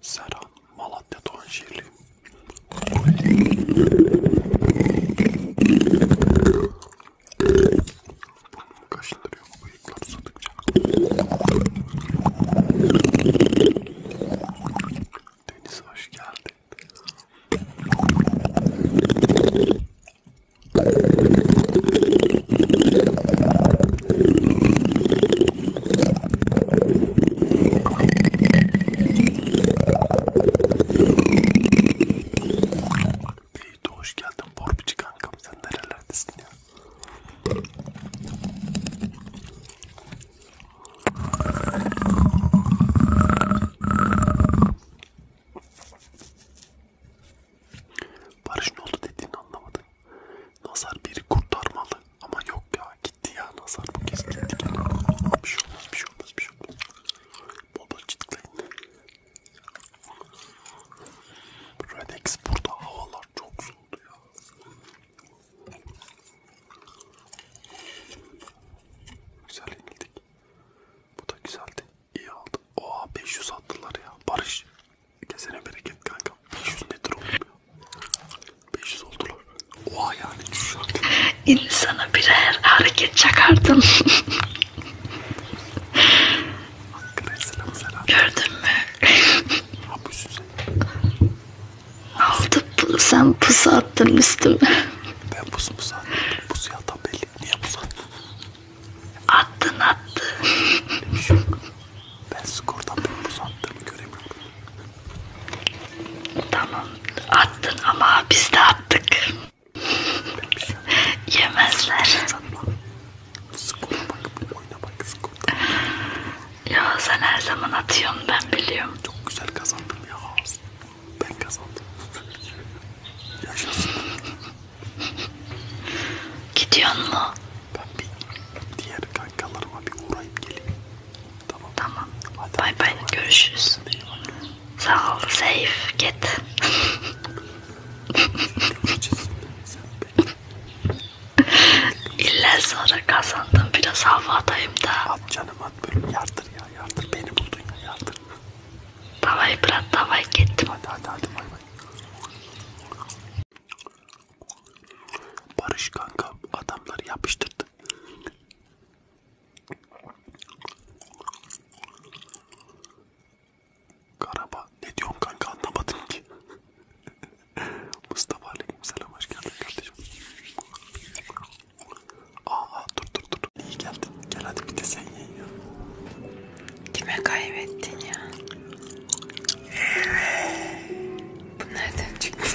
Serhan Malatya Doğanşehirli. Burnumu kaşındırıyor bu bıyıklar uzadıkça. Deniz hoş geldin. Beyt hoş geldin Borbici kankam sen nerelerdesin ya? Barış ne oldu dediğini anlamadım Nazar biri kurtarmalı ama yok ya gitti ya Nazar bu kez gitti gene. Bir şey olmaz bir şey olmaz bir şey olmaz. Bol bol çıtlayın. Redex burada havalar çok soğudu ya. Güzel yenildik. Bu da güzeldi. İyi aldı. Oha 500 attılar ya. Barış Kesene bereket kanka. 500 metre oldu. 500 oldular. Oha yani şu şarkı. İnsana birer hareket çakardın. Hakkı selam selam. Gördün mü? Hapusun sen. Aldı bunu sen pusu attın üstüme. Ben pusu pusu attım. Pusu yatan belli. Niye pusu attın? Attın attın. Bir şey yok. Ben skordan benim uzattığımı göremiyorum. Tamam. Attın ama biz de attık. Şey Yemezler. Skora bak, oyuna bak skorda. Ya sen her zaman atıyorsun ben biliyorum. Çok güzel kazandım ya. Ben kazandım. Yaşasın. Gidiyor mu? Ben bir diğer kankalarıma bir uğrayıp geleyim. Tamam. Tamam. Hadi bay bay. Görüşürüz. Sağ ol. Safe. Git. İlla sonra kazandım. Biraz havadayım da. At canım at böyle yardır ya yardır. Beni buldun ya yardır. Davay bırak davay gittim. Hadi hadi hadi bay bay. Barış kanka adamları yapıştırdı. Karaba ne diyorsun kanka anlamadım ki. Mustafa aleykümselam hoş geldin kardeşim. Aa dur dur dur iyi geldin. Gel hadi bir de sen yiyin ya. Kime kaybettin ya? Bu nereden çıktı?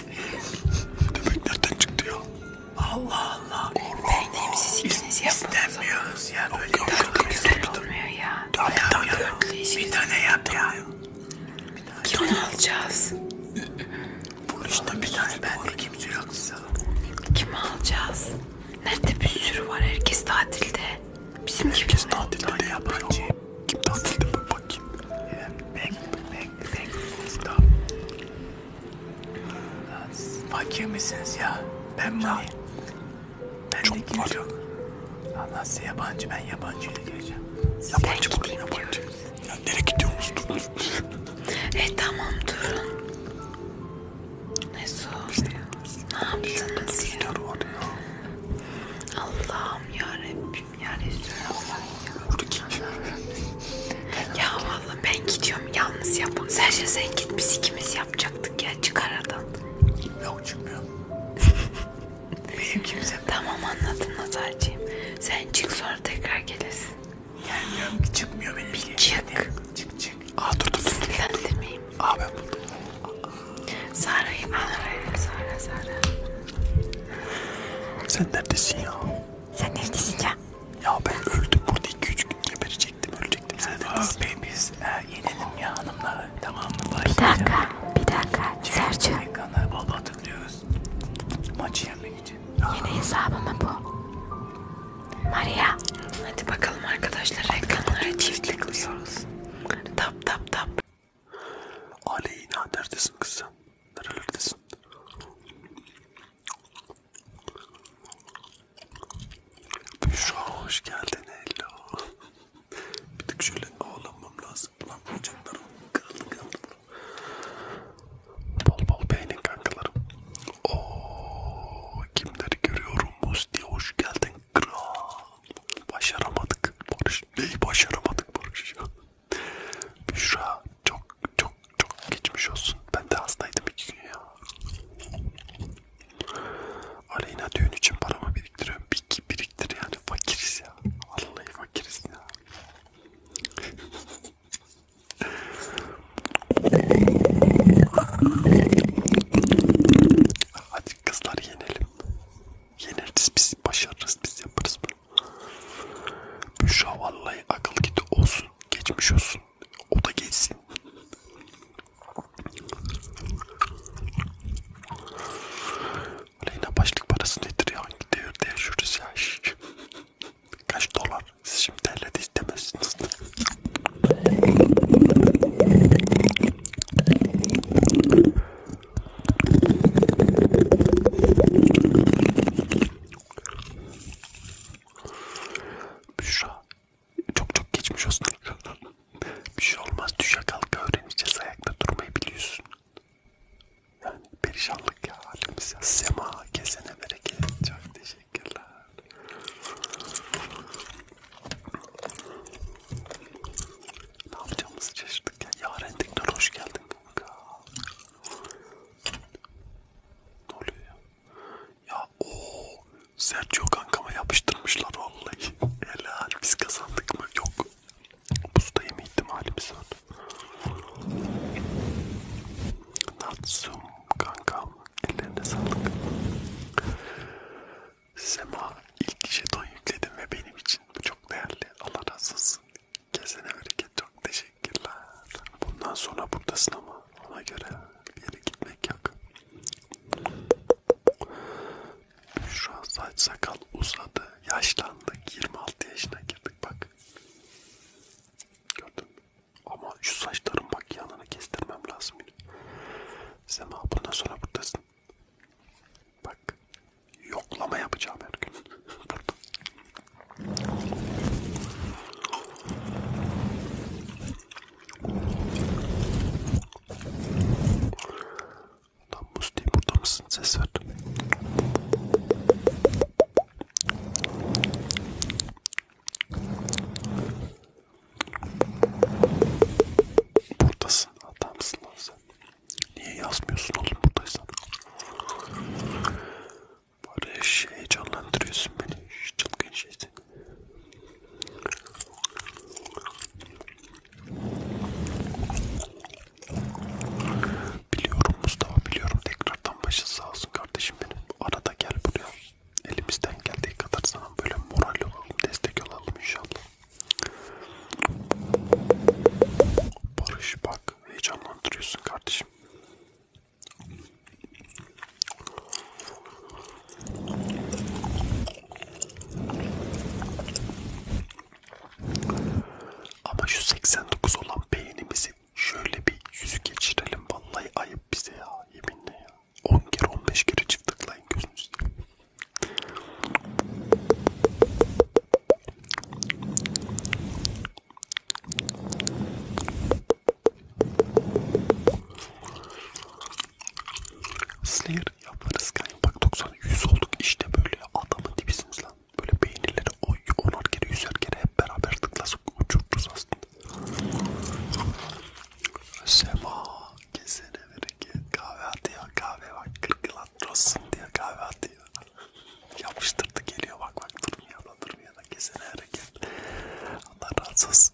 Demek nereden çıktı ya? Allah Allah. Benim siz ikiniz yapmanız İstemiyoruz ya böyle Yok, yok, dörtlü yok, güzel yok, yok. olmuyor ya. Tamam, bir tane yap. Dörtlü işi. Bir tane yap ya. Kim onu alacağız? Bu işte bir tane bende kimse yok size. Kimi alacağız? Nerede bir sürü var herkes tatilde. Bizimki Herkes tatilde de yapıyor. Kim tatilde bu bakayım? Bek, bek, bek, stop. Fakir misiniz ya? Ben Mani. Ben Çok de var. yok. Allah size yabancı, ben yabancı ile gireceğim. Yabancı mı? Yabancı. Ya nereye gidiyorsunuz? Durun. e tamam durun. Ne soruyor? Ne yaptınız ya? Allah'ım yarabbim ya restoran var şey. ya. Burada kimler var? Ya valla ben gidiyorum yalnız ya bunu. Sen şey sen git biz ikimiz yapacaktık ya çık aradan. Yok çıkmıyorum. Benim kimse. Tamam anladın Nazarcığım. Sen çık sonra tekrar gelirsin. Gelmiyorum ki çıkmıyor benim. Bir çık. Hadi, çık çık. Aa dur dur dur. Sinirlendirmeyeyim. Aa ben buldum. Sara'yı bana ver. Sara Sara. Sen neredesin ya? Sen neredesin ya? Ya ben öldüm burada 2-3 gün geberecektim ölecektim. Sen neredesin? Abi biz e, yenelim ya hanımla tamam mı? Bir dakika bir dakika Sergio. Ekranları bol bol tıklıyoruz. Maçı yenmek için. Yeni hesabı mı bu? Maria. Hadi bakalım arkadaşlar ekranlara çift tıklıyoruz. Tap tap tap. Aleyna neredesin kız sen? Nerelerdesin? Büşra hoş geldin hello. Bir tık şöyle ağlamam lazım. Lan bacaklarım kırıldı kırıldı. Bol bol beğenin kankalarım. Ooo kimleri görüyorum Musti hoş geldin kral. Başaramadık Barış. Neyi başaramadık Barış ya? Büşra çok çok çok geçmiş olsun. Ben de hastaydım iki gün ya. Aleyna düğün için paramı biriktiriyorum. Bir biriktir yani fakiriz ya. Vallahi fakiriz ya. Hadi kızlar yenelim. Yeneriz biz, başarırız biz, yaparız bunu. Büşra vallahi akıl gidi olsun. Geçmiş olsun. O da geçsin. Leyla başlık parası nedir ya? Hangi devirde yaşıyoruz ya? Kaç dolar? Siz şimdi terledi istemezsiniz. Büşra çok çok geçmiş olsun. Bir şey olmaz düşe kalka öğreneceğiz ayakta durmayı biliyorsun. Yani perişanlık ya halimiz ya. Sema kesene bereket. Çok teşekkürler. Ne yapacağımızı şaşırdık ya. Yaren Dikdör hoş geldin kanka. Ne oluyor ya? Ya ooo. Sergio kankama yapıştırmışlar vallahi. Helal biz kazandık mı? Yok. Busta yeme ihtimalimiz var. Natsum kankam. Ellerine sağlık. Sema ilk jeton yükledim ve benim için bu çok değerli. Allah razı olsun. Kesene bereket çok teşekkürler. Bundan sonra buradasın ama ona göre bir yere gitmek yok. Şu an saç sakal uzadı. Yaşlandık. 26 yaşına girdik bak. Gördün mü? Ama şu saçların bak yanını kestirmem lazım. Sema bundan sonra buradasın. Bak yoklama yapacağım her gün. Tam Musti burada mısın? Ses ver. Buradasın. Adamsın lan sen. Niye yazmıyorsun oğlum buradaysan? Böyle şey canlandırıyorsun beni. Çılgın şeysin. Biliyorum Mustafa biliyorum tekrardan başın sağ olsun kardeşim benim. Arada gel buraya. Elimizden geldiği kadar sana böyle moral olalım, destek olalım inşallah. Barış bak Heyecanlandırıyorsun kardeşim. Ama şu 89 olan beynimizi şöyle bir yüzü geçirelim. Vallahi ayıp bize ya. Yeminle ya. 10 kere 15 kere çift tıklayın gözünüzü. Snare yaparız kanka. Bak 90 100 olduk işte böyle adamın dibisiniz lan. Böyle beynirleri oy onar kere yüzer kere hep beraber tıklasıp uçururuz aslında. Sema kesene bereket kahve hadi ya kahve bak kırkla rahat olsun diye kahve atıyor. Yapıştırdı geliyor bak bak durmuyor da durmuyor da kesene hareket. Allah razı olsun.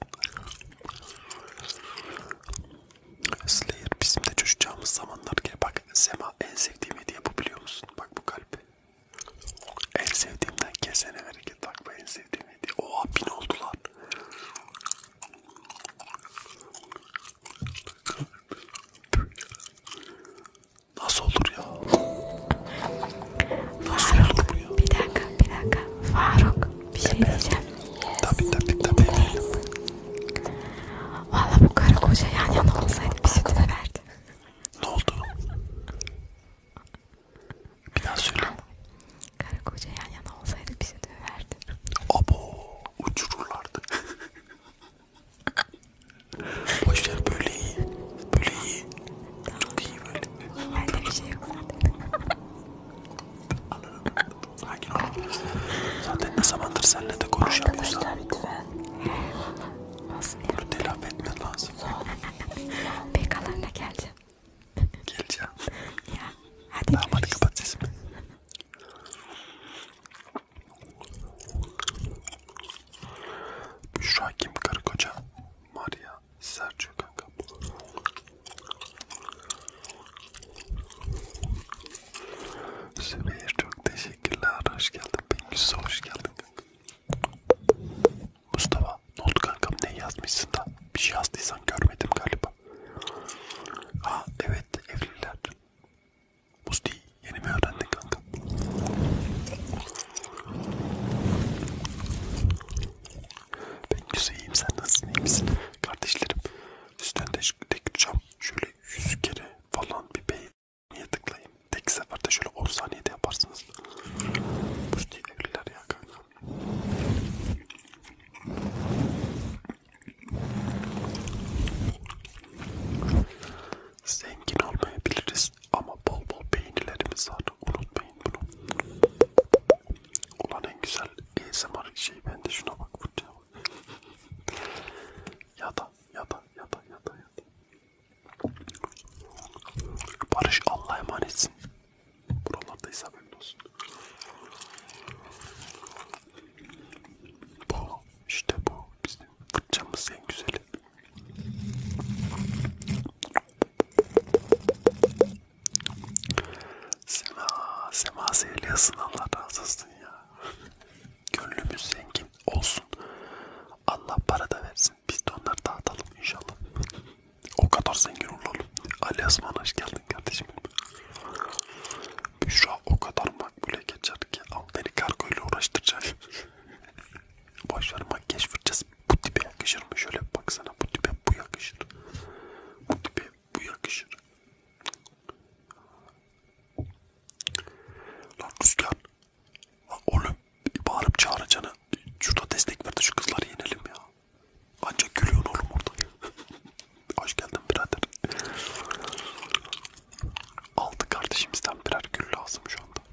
Slayer bizim de çocukcağımız zamanlar ki bak Sema en sevdiğim hediye bu biliyor musun? Bak bu kalp. En sevdiğimden kesene hareket bak bu en sevdiğim hediye. Oha bin oldular. Nasıl olur ya? Nasıl Faruk, olur bu ya? Bir dakika, bir dakika. Faruk, bir şey evet. diyeceğim. Yes. Tabii tabii tabii. Yes. Valla bu karı koca yan yana olsaydı bir süt şey de verdi. Ne oldu? Bir daha söyle. Karı koca yan yana olsaydı bir süt şey de verdi. Abo, uçururlardı. Boşver böyle iyi. Böyle iyi. Tamam. Çok iyi böyle. Bende bir şey yok zaten. Sakin ol. Zaten ne zamandır seninle de konuşamıyoruz. Arkadaşlar Olsun ya. Bunu telafi etmen lazım. Bekalarla geleceğim. Geleceğim. ya hadi tamam, görüşürüz. Hadi kapat sesimi. Büşra kim? Karı koca. Maria. Sergio kanka. Sübeyir çok teşekkürler. Hoş geldin. Bengüs'e hoş geldin. Mustafa ne oldu kankam? Ne yazmışsın da? Bir şey yazdıysan görmedim galiba. Aa evet evliler. Musti yeni mi öğrendin kanka? Ben güzelim sen nasılsın iyi misin? Kardeşlerim üstten de tek uçam şöyle yüz kere falan bir beğeniye tıklayayım. Tek seferde şöyle 10 saniyede yaparsınız. Musti evliler ya kanka. Zengin olmayabiliriz ama bol bol beğenilerimiz var. Unutmayın bunu. Ulan en güzel ASMR şey bende şuna bak buraya bak. ya da ya da ya da ya da ya da. Barış Allah'a emanetsin. Buralardayız haberin olsun. Bu işte bu bizim fırçamız en güzeli. Sema, Sema Zeyliyasın Allah razı olsun ya. Gönlümüz zengin olsun. Allah para da versin. Biz de onları dağıtalım inşallah. O kadar zengin olalım. Ali Asman hoş geldin kardeşim. Büşra o kadar makbule geçer ki Amerika kargoyla uğraştıracak. Boşver makyaj fırçası. Bu tipe yakışır mı? Şöyle baksana. Bu tipe bu yakışır. Bu tipe bu yakışır. Lan Rüzgar. Lan oğlum bağırıp çağıracağına. Şurada destek ver de şu kızları yenelim ya. Ancak gülüyorsun oğlum orada. Hoş geldin birader. Altı kardeşimizden birer gül lazım şu anda.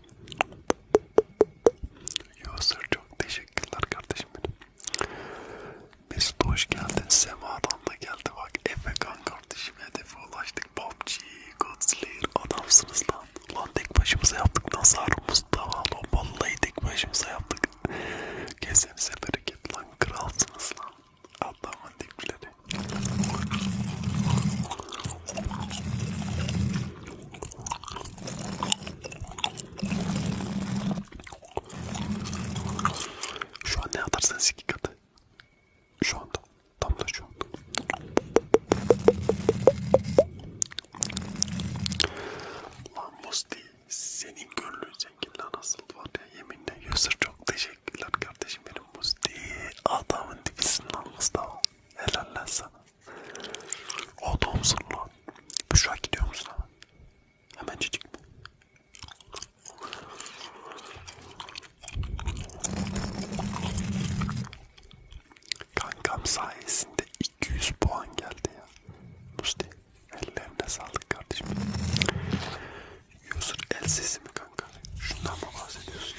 Yusuf çok teşekkürler kardeşim benim. Mesut hoş geldin. Sema'dan da geldi bak. Efekan kardeşim hedefe ulaştık. PUBG, Godslayer adamsınız lan. Lan tek başımıza yaptık. Nazar Mustafa lan. Vallahi tek başımıza yaptık. Kesenize bereket lan. Kralsınız lan. Adamın dipleri geldi. Şu an ne atarsanız iki katı. Şu anda. Tam da şu anda. Lan Musti senin gönlün zengin lan asıl var ya yeminle. Yusuf çok teşekkürler kardeşim benim Musti. Adamın dibisin lan Mustafa. Helal lan sana. Adamsın lan. Büşra gidiyor musun hemen? Hemen cicik mi? Kankam sayesinde 200 puan geldi ya. Musti ellerine sağlık kardeşim. User el sesimi kanka? Şundan mı bahsediyorsun?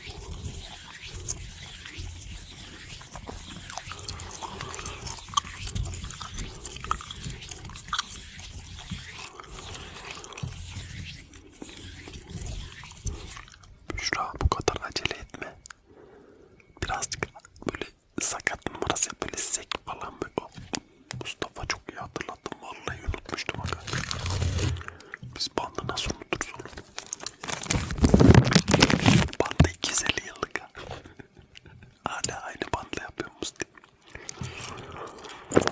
Büşra bu kadar acele etme. Birazcık böyle sakat numarası böyle sek falan böyle. Oh, Mustafa çok iyi hatırlattım. Vallahi unutmuştum. Aga. Biz bandı nasıl unuturuz oğlum? Banda 250 yıllık. Hala aynı bandla yapıyor musun? Bak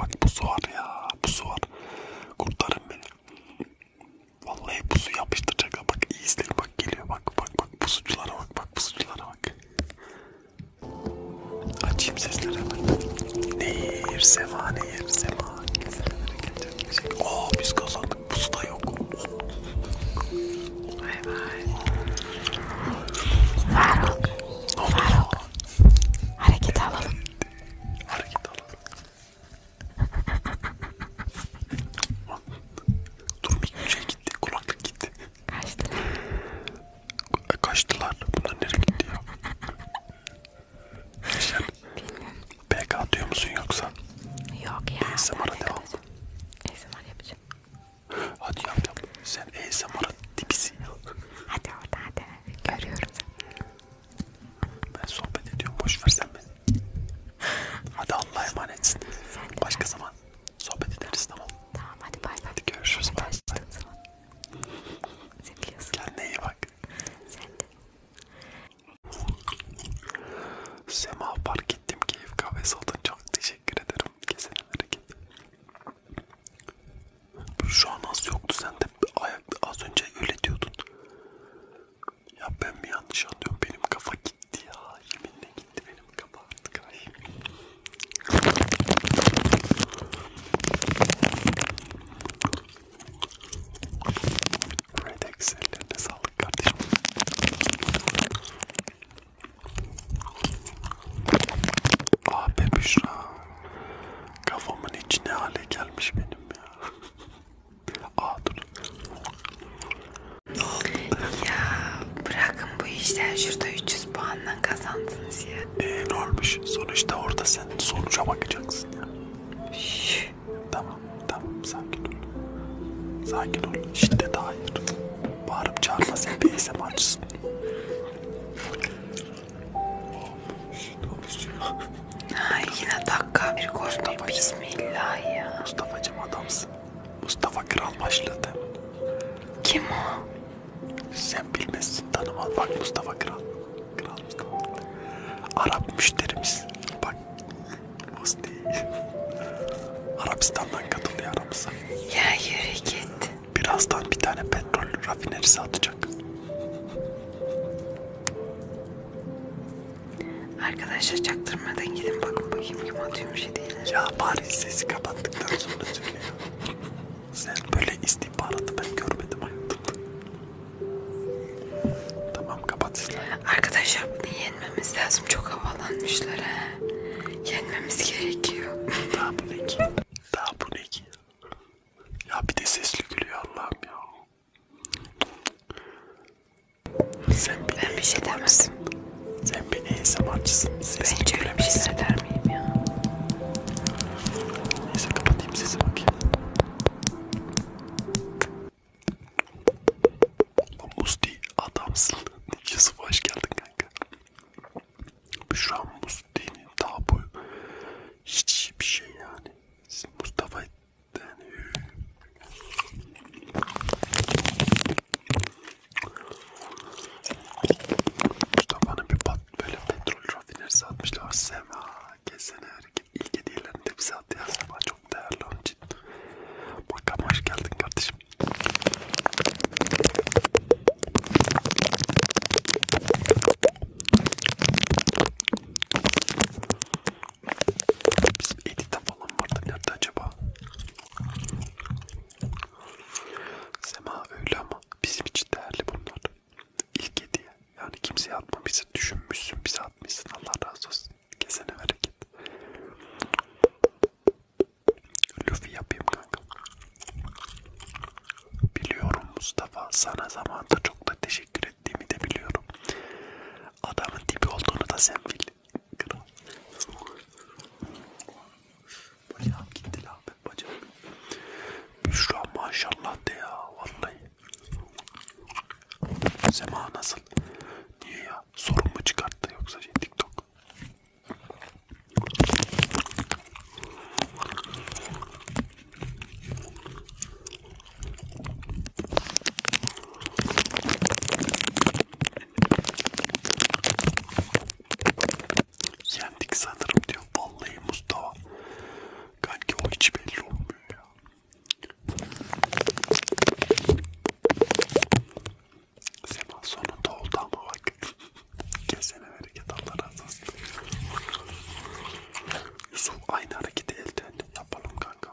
bak bu su var ya bu su var kurtarın beni Vallahi pusu yapıştıracak ha bak iyi izleyin bak geliyor bak bak bak pusuculara bak bak pusuculara bak. Açayım sesleri hemen. Nehir sema nehir sema. Kesinlere gelecek bir şey. Oo biz kazandık pusu da yok. Bay bay. Faruk. Faruk. Harekete alalım. Harekete alalım. Dur bir şey gitti. Kulaklık gitti. Kaçtılar. E, kaçtılar. Bunlar nereye gitti ya? Geçen PK atıyor musun yoksa? Yok ya. ASMR'a devam. ASMR yapacağım. Hadi yap yap. Sen ASMR'ın dibisin ya. Hadi orada hadi. Görüyorum seni. Ben sohbet ediyorum. Boş ver sen beni. Hadi Allah'a emanetsin. Başka zaman sohbet ederiz tamam. Tamam hadi bay bay. Hadi görüşürüz. Bay bay. Kendine iyi bak. Sen de. Sema fark ettim keyif kahvesi oldun. Çok teşekkür ederim. Kesin hareket. Şu an az yoktu sende. Ayakta az önce öyle diyordun. Ya ben mi yanlış anlıyorum? Benim kafa gitti ya. Yeminle gitti benim kafa artık. Ay. Red X ellerine sağlık kardeşim. Ah be Büşra. Kafamın içine hale gelmiş benim ya. Aa dur. Ya bırakın bu işler şurada 300 puanla kazandınız ya. Ee, ne olmuş? Sonuçta orada sen sonuca bakacaksın ya. Şşş. Tamam tamam sakin ol. Sakin ol. Şiddet hayır. Bağırıp çağırma sen bir esem açsın. Ay yine dakika bir koştum. Bismillah ya. Mustafa'cım adamsın. Mustafa Kral başladı. Kim o? Sen bilmezsin tanımaz. Bak Mustafa Kral. Kral Mustafa. Arap müşterimiz. Bak. Musti. Arabistan'dan katılıyor aramıza. Ya yürü git. Birazdan bir tane petrol rafinerisi atacak. Arkadaşlar çaktırmadan gidin bakın bakayım kim atıyormuş şey hediyeleri. Ya bari sesi kapattıktan sonra söyle. Sen böyle istihbaratı ben görmedim hayatımda. Tamam kapat işte. Arkadaşlar bunu yenmemiz lazım. Çok havalanmışlar ha. Yenmemiz gerekiyor. Daha bu ne ki? Daha bu ne ki? Ya bir de sesli gülüyor Allah'ım ya. Sen bir ben bir şey demedim. Sen bir ASMR'cısın. Bence öyle bir şey der miyim ya? Neyse kapatayım sesi bakayım. Musti adamsın. Yusuf hoş geldin kanka. Şu an Musti'nin daha bu hiç bir şey yani. Siz Mustafa'yı yani. Mustafa'nın bir pat böyle petrol rafinerisi atmışlar. Sema kesene hareket. İlk hediyelerini de bize attı ya. Sema çok değerli onun için. Bakalım hoş geldin kardeşim. Bizim Edith'te falan vardı nerede acaba? Sema öyle ama bizim için değerli bunlar. İlk hediye. Yani kimseye atmamışsın, düşünmüşsün, bize atmışsın. Allah razı olsun. Kesene bereket. Luffy yapayım kanka. Biliyorum Mustafa sana zamanında çok da teşekkür ettiğimi de biliyorum. Adamın tipi olduğunu da sen bil. Kral. Bacağım gitti la be bacağım. Büşra maşallah de ya vallahi. Sema nasıl? Niye ya? Sorun mu çıkarttı yoksa şey TikTok? Yendik sanırım diyor. Vallahi Mustafa. Kanki o hiç belli olmuyor ya. Sema sonunda oldu ama bak. Kesene hareket Allah razı olsun. Yusuf aynı hareketi elden yapalım kanka.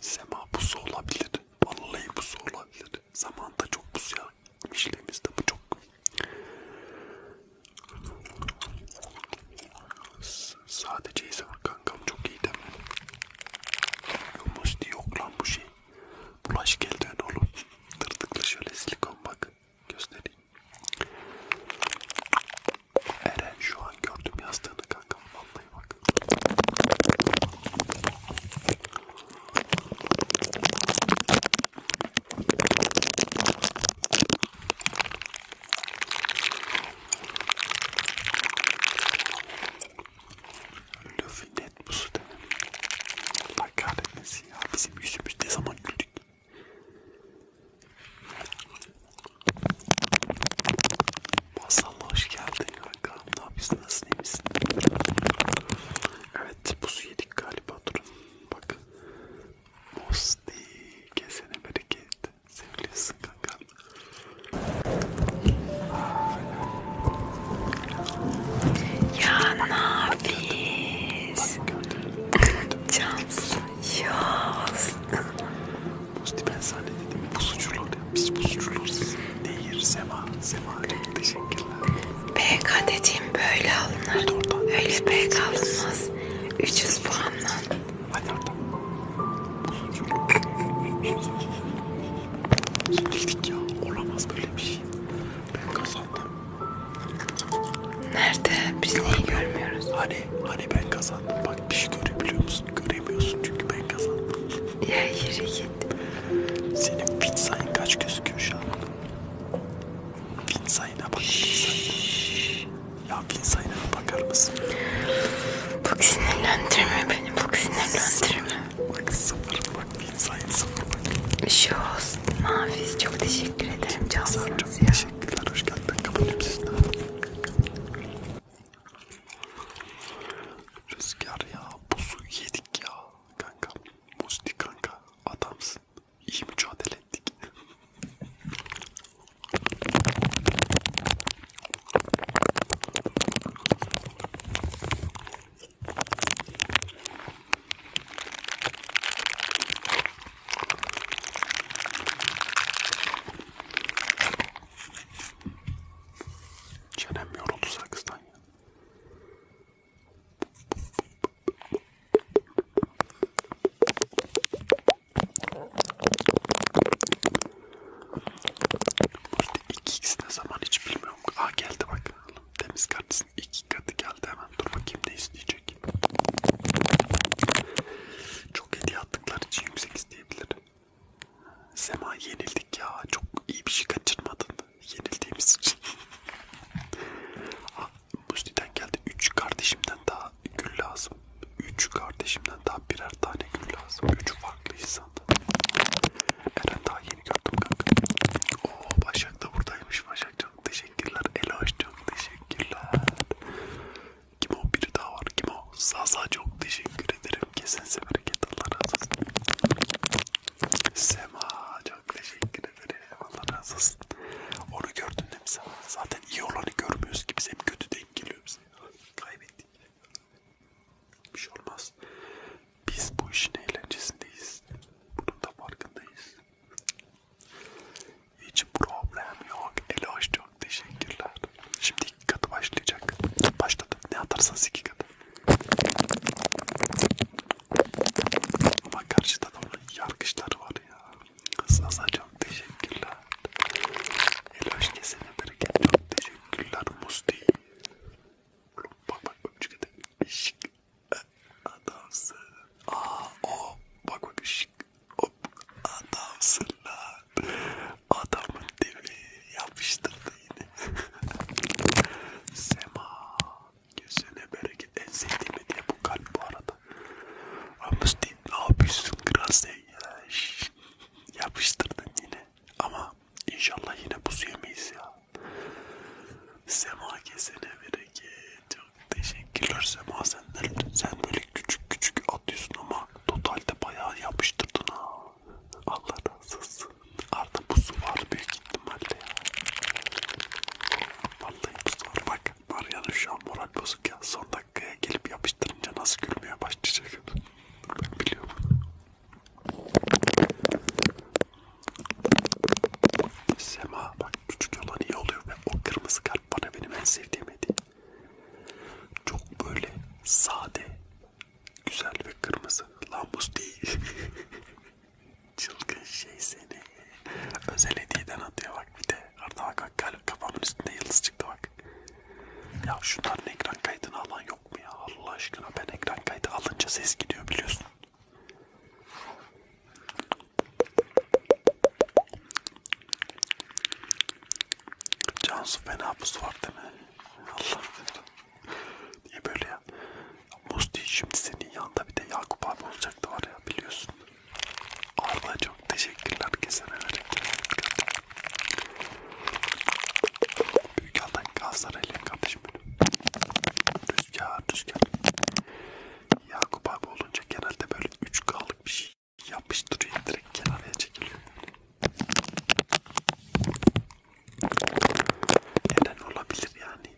Sema pusu olabilir. Vallahi pusu olabilir. Zamanda çok pusu yapmışlığımızda bu çok. S sadece ise kankam çok iyi deme. Musti yok lan bu şey. Bulaş geldi ön oğlum. Tırtıklı şöyle silikon bak. Göstereyim. Eren şu an gördüm yastığını kanka vallahi bak. Löfü net bu su Bak kahretmesin ya bizim yüzümüz ne zaman güldük. Masalla hoş geldin kanka. Ne yapıyorsun? Nasılsın? İyi misin? Evet, buzu yedik galiba. Durun. Bak. Musti. Kesene bereket. Seviliyorsun kanka. Ya nafiz. Cansın. Yaz. Pozitif ben sana dedim bu suçlular ya. Biz bu suçlularız. Değil Sema. Sema çok teşekkürler. PK dediğim böyle alınır. Oradan. Öyle PK alınmaz. 300 puanla. Hadi oradan. Bu suçluluk. Bildik ya. Olamaz böyle bir şey. Ben kazandım. Nerede? Biz niye görmüyoruz? Hani, hani ben kazandım. Bak bir şey görebiliyor musun? Göremiyorsun çünkü ben kazandım. Ya yürü git. Senin fit sayın kaç gözüküyor şu an? Fit sayına bak. Fit sayına. Ya fit sayına bakar mısın? Bak sinirlendirme beni. Bak sinirlendirme. Bak sıfır. Bak fit sayın sıfır. Bak. Bir şey olsun. Nafiz çok teşekkür ederim. Cansınız ya. Teşekkürler, hoş geldin. Ben kapatayım sesini. Rüzgar ya, buzu yedik ya kanka. Musti kanka, adamsın. İyi mücadele ettik. Çenem yoruldu sakızdan ya. İşte 2x ne zaman hiç bilmiyorum. Aa geldi bak. Temiz kardeşim iki katı geldi hemen. Dur bakayım ne isteyecek gelecek. Çok hediye attıkları için yüksek isteyebilir. Sema yenildik ya. Çok iyi bir şey kaçırmadın. Yenildiğimiz için. ah, Musti'den geldi. Üç kardeşimden daha gül lazım. Üç kardeşimden daha birer tane gül lazım. Üç farklı insan. Eren daha yeni gördüm kanka. Oo Başak da buradaymış. Başak çok teşekkürler. Eloş çok teşekkürler. Kim o biri daha var? Kim o? Zaza çok teşekkür ederim. Kesinize bereket Allah razı olsun. Sema çok teşekkür ederim. Allah razı olsun. Onu gördün değil mi sen? Zaten iyi olanı görmüyoruz ki biz hem kötü de hem geliyor bize. Kaybettik. Bir şey olmaz. Biz bu işin eğlencesindeyiz. Bunun da farkındayız. Hiç problem yok. Eloş çok teşekkürler. Şimdi iki katı başlayacak. Başladı. Ne atarsanız iki katı. Ama karşıda da yargıçlar var ya. Kısaza çok teşekkürler. Eloş kesene bereket çok teşekkürler. Musti. Bak bak öpücük de. Şık. Adamsın. Aa o. Bak bak şık. Hop adamsın lan. Adamın dibi yapıştırdı yine. Sema gözüne bereket en sevdiğim diye bu kalp bu arada. Amstin ne yapıyorsun Grasey ya? Şş, yapıştırdın yine. Ama inşallah yine buz yemeyiz ya. Sema kesene bereket. Çok Teşekkürler Sema senden. Sen böyle küçük küçük atıyorsun ama totalde bayağı yapıştırdın ha. Allah razı olsun. Arda pusu var büyük ihtimalle ya. Vallahi pusu var. Bak Maria'nın şu an moral bozuk ya. Son dakikaya gelip yapıştırınca nasıl gülmeye başlayacak. Ben biliyorum. Sema bak küçük olan iyi oluyor ve o kırmızı kalp bana benim en sevdiğim hediye. Çok böyle sade, güzel ve kırmızı. Lambus değil. Çılgın şey seni. Özel hediyeden atıyor bak bir de. Arda bak bak kalp kafamın üstünde yıldız çıktı bak. Ya şunların ekran kaydını alan yok mu ya? Allah aşkına ben ekran kaydı alınca ses gidiyor biliyorsun. Cansu fena buz var değil mi? Allah Niye böyle ya? Muz değil şimdi senin yanında bir de Yakup abi olacaktı var ya biliyorsun. Arda çok teşekkürler kesene verirken. Büyük aldan Galatasaray'la kapışım benim. Rüzgar rüzgar. Yakup abi olunca genelde böyle 3K'lık bir şey yapmış duruyor direkt kenarıya çekiliyor. Neden olabilir yani?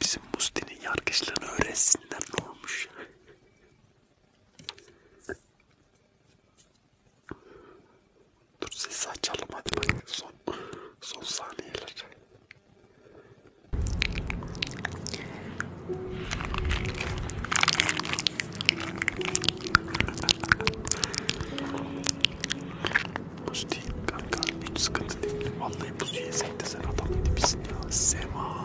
Bizim Musti'nin yargıçlarını öğrensinler ne olmuş? Dur sesi açalım hadi bak son, son saniyeler. Buz değil kanka hiç sıkıntı değil. Vallahi buz yesek de sen adamın dibisin ya. Sema.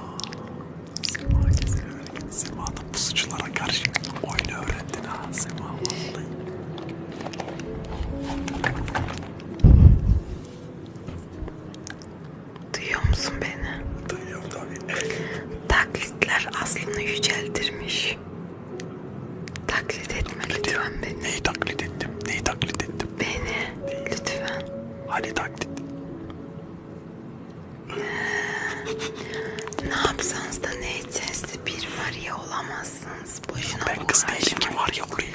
Sema kesin öyle. Sema da buzculara karşı oyunu öğrendin ha. Sema vallahi. Duyuyor musun beni? Duyuyorum tabii. Taklitler aslını yüceltirmiş. Taklit etme lütfen beni. Neyi taklit ettim? Neyi taklit ettim? Beni. Neyi? Lütfen. Hani taklit? Ee, ne yapsanız da ne etseniz de bir var ya olamazsınız. Boşuna ben kız değilim ki var ya olayım.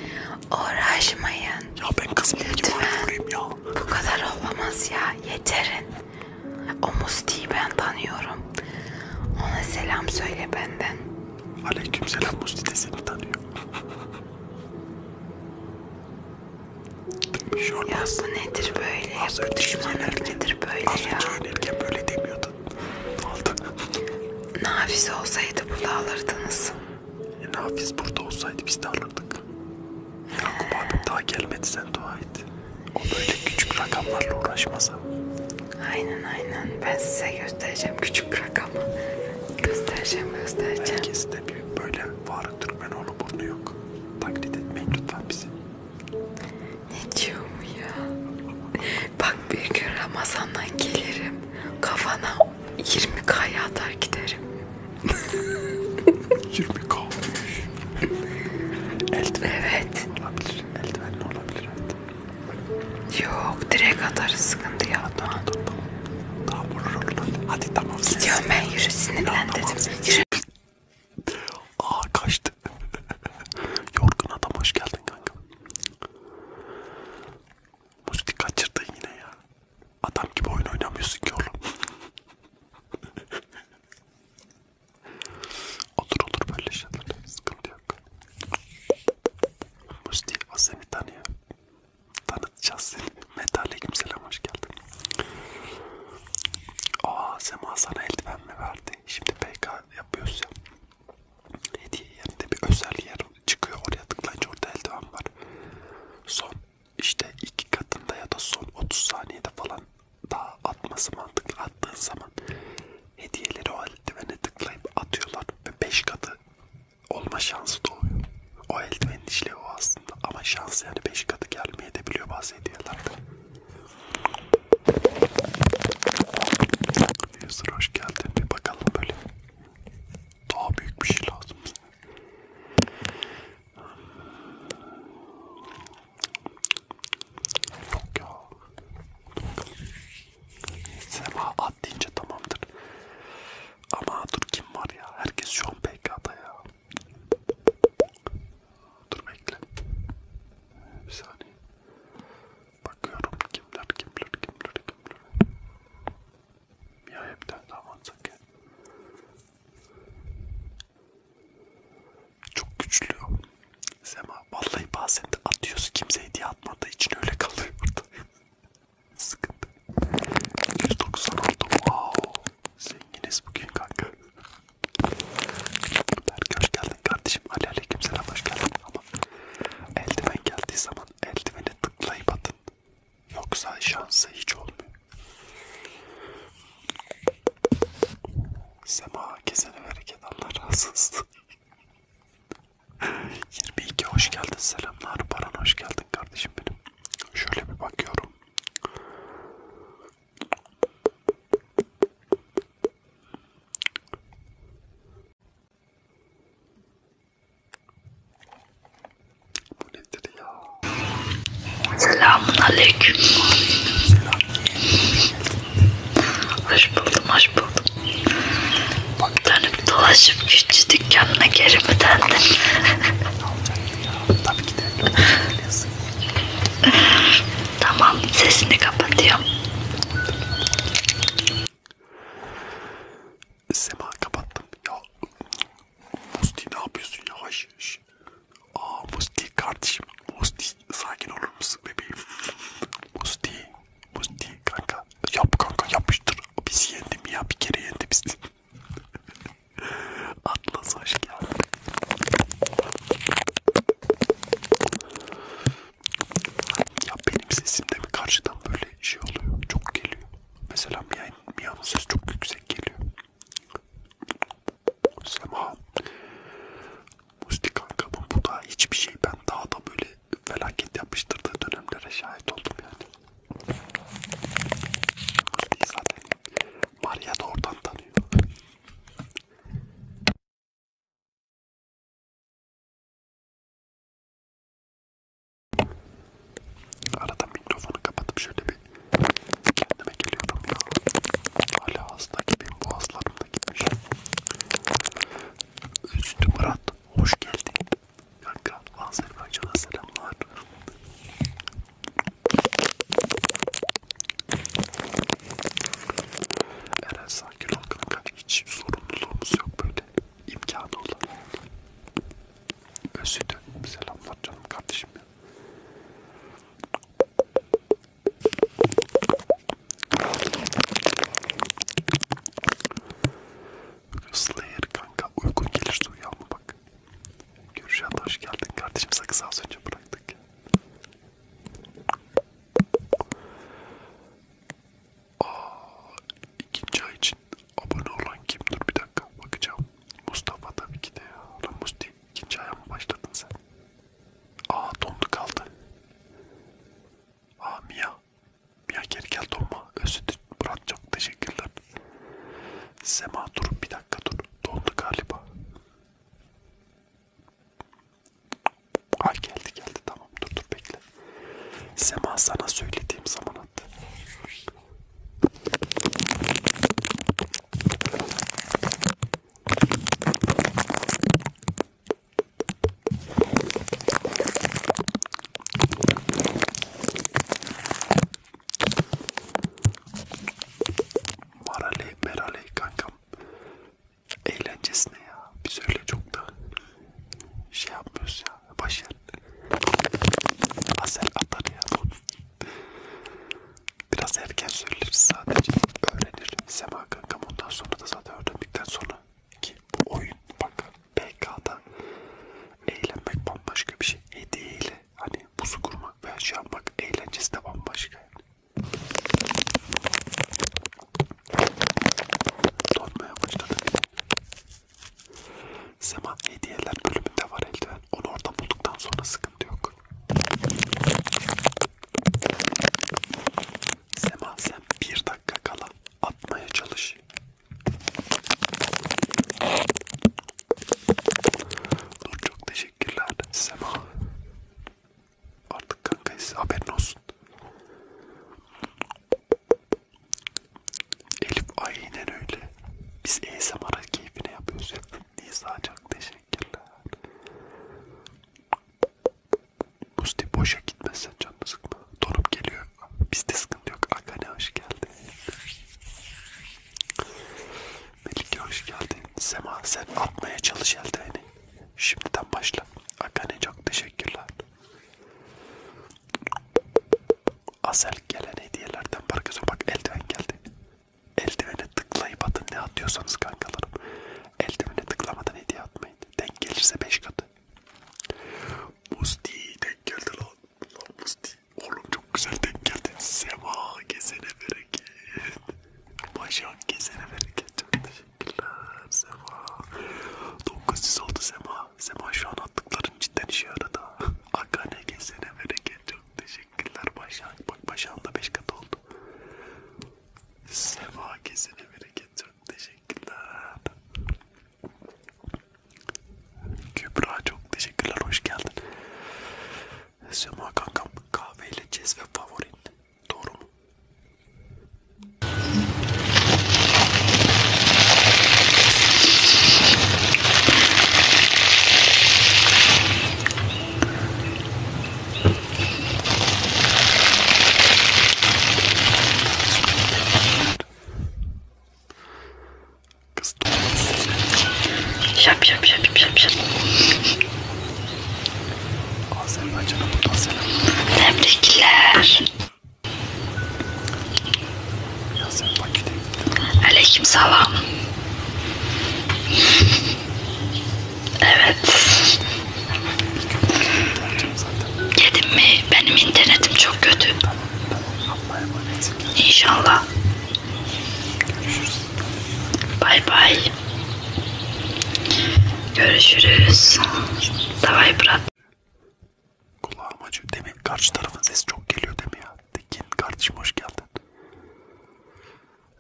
Uğraşmayın. Ya ben kız değilim ki var ya olayım ya. Bu kadar olamaz ya. Yeterin. O Musti'yi ben tanıyorum. Ona selam söyle benden. Aleykümselam Musti de seni tanıyor. Bir şey Ya olmaz. bu nedir böyle? Az Bu önce düşmanlık yönelirken- şey nedir böyle Az ya? önce oynarken böyle demiyordun. Ne oldu? Nafize olsaydı burada alırdınız. E, Nafiz burada olsaydı biz de alırdık. Yakup abi daha gelmedi sen dua et. O böyle küçük rakamlarla uğraşmasa. Aynen aynen. Ben size göstereceğim küçük rakamı. Göstereceğim göstereceğim. Herkes de bir böyle Faruk Türkmenoğlu burnu yok. Taklit etmeyin lütfen bizi. Ne diyor mu ya? Bak bir gün Ramazan'dan gelirim. Kafana 20 kaya atar giderim. 20 kalmış. Eldiven Evet. olabilir. Eldiven olabilir. Yok direkt atarız sıkıntı yapma. Daha vururlar. Hadi tamam. Gidiyorum ben yürü sinirlendirdim. Yürü. Aa kaçtı. Yorgun adam hoş geldin kanka. Musti kaçırdın yine ya. Adam gibi oyun oynamıyorsun ki oğlum. olur olur böyle şeyler. Sıkıntı yok. Mustafa seni tanıyor. Tanıtacağız seni. Meta aleyküm selam hoş geldin. Aa Sema sana eldiven mi verdi? Şimdi PK yapıyoruz ya. Hediye yerinde bir özel yer çıkıyor. Oraya tıklayınca orada eldiven var. Son işte iki katında ya da son 30 saniyede falan daha atması mantıklı attığın zaman hediyeleri o eldivene tıklayıp atıyorlar ve 5 katı olma şansı doğuyor. O eldivenin işlevi o aslında ama şans yani 5 katı gelmeye de biliyor bazı hediyelerde. User hoş geldin bir bakalım böyle daha büyük bir şey lazım. Yok ya. Sema at deyince tamamdır. Ama dur kim var ya? Herkes şu an PK'da ya. Dur bekle. Bir saniye. Bakıyorum kimler kimler kimler kimler. Ya hepten daha mantıklı. Çok güçlü. Sema vallahi bazen de atıyorsun kimse hediye atmadığı için öyle kalıyor burada. Sıkıntı. 196 wow. Zenginiz bugün kanka. Berk hoş geldin kardeşim. Ali aleyküm selam hoş geldin. Ama eldiven geldiği zaman eldivene tıklayıp atın. Yoksa şansı hiç olmuyor. Sema kesene bereket Allah razı olsun. 22 hoş geldin selamlar Baran hoş geldin kardeşim benim. Şöyle bir bakıyorum. Bu nedir ya? Selamun aleyküm. Selam. Hoş buldum, hoş buldum. Bak dönüp dolaşıp küçük dükkanına geri mi döndün? Tabii ki de. tamam, sesini kapatıyorum. Sema kapattım ya. Musti ne yapıyorsun yavaş yavaş. Aa Musti kardeşim. Musti sakin olur musun bebeğim? Musti. Musti kanka. Yap kanka yapıştır. Bizi yendim ya bir kere yendi bizi. Atlas hoş geldin. Ya benim sesimde mi karşıdan böyle şey oluyor? Çok geliyor. Mesela Mia'nın sesi çok yüksek geliyor. Sema. Mustik arkamın bu da hiçbir şey. Ben daha da böyle felaket yapıştırdığı dönemlere şahit oldum yani. Zaten Maria da oradan tanıyor. Arada mikrofonu kapatıp şöyle gibi kendime geliyorum ya. Hala hasta gibiyim. Boğazlarım da gitmiş. Üstü Murat. Hoş geldin. Kanka Azerbaycan'a selamlar. Eren sakin ol kanka. Hiç sorumluluğumuz yok böyle. İmkanı olan. Özüdü. Selamlar canım kardeşim. Slayer kanka uyku gelir uyanma bak. Görüşen hoş geldin kardeşim sakız az önce bıraktık. Aa, ikinci ay için abone olan kimdir bir dakika bakacağım. Mustafa tabii ki de ya. Lan Musti İkinci aya mı başladın sen? Aa dondu kaldı. Aa Mia. Mia geri gel donma. Özür Murat çok teşekkürler. Sema dur bir dakika dur. Dondu galiba. Ay geldi geldi tamam dur dur bekle. Sema sana söylediğim zaman attı. Maraley, meraley kankam. Eğlencesine ya. Biz öyle çok da şey yapmıyoruz ya. Başarılı. Asel atar ya. Biraz erken söyleriz sadece. Öğrenir. Sema kankam ondan sonra da zaten öğrendikten sonra ki bu oyun bak PK'da eğlenmek bambaşka bir şey. Hediyeyle hani buzu kurmak veya şey yapmak eğlencesi de bambaşka yani. Donmaya başladı. Sema hediyeler bölümünde var eldiven yüzden onu orada bulduktan sonra sıkıntı yok. Sema sen bir dakika kala atmaya çalış. Dur çok teşekkürler Sema. Artık kankayız haberin olsun. Elif aynen öyle. Biz ASMR'a keyfine yapıyoruz. Niye sadece teşekkür Teşekkürler. Musti boşa gitmezsen canını sıkma. Donup geliyor. Bizde sıkıntı yok. Akane hoş geldin. Melike hoş geldin. Sema sen atmaya çalış eldiveni. Şimdiden başla. Akane çok teşekkürler. Asel gelen hediyelerden parkası bak eldiven geldi eldivene tıklayıp atın ne atıyorsanız kankalarım. Eldivene tıklamadan hediye atmayın. Denk gelirse 5 katı. Musti denk geldi lan. lan Musti. Oğlum çok güzel denk geldi. Sema gezene bereket. Başak gezene bereket. Çok teşekkürler Sema. 906 Sema. Sema şu an attıkların cidden işe yaradı. Akane gezene bereket. Çok teşekkürler. Teşekkürler Başan. Bak Başan da 5 kat oldu. Seva kesene bereket. Çok teşekkürler. Kübra çok teşekkürler. Hoş geldin. Sema kankam kahveyle cez ve favorin. Doğru mu? Şap şap şap şap şap. Azerbaycan'a buradan selam. Tebrikler. Ya sen Bakü'de gittin. Aleyküm selam. Evet. Yedim mi? Benim internetim çok kötü. İnşallah. Bay bay. Görüşürüz. Davay brat. Kulağım acıyor. Demin karşı tarafın sesi çok geliyor değil mi ya? Tekin kardeşim hoş geldin.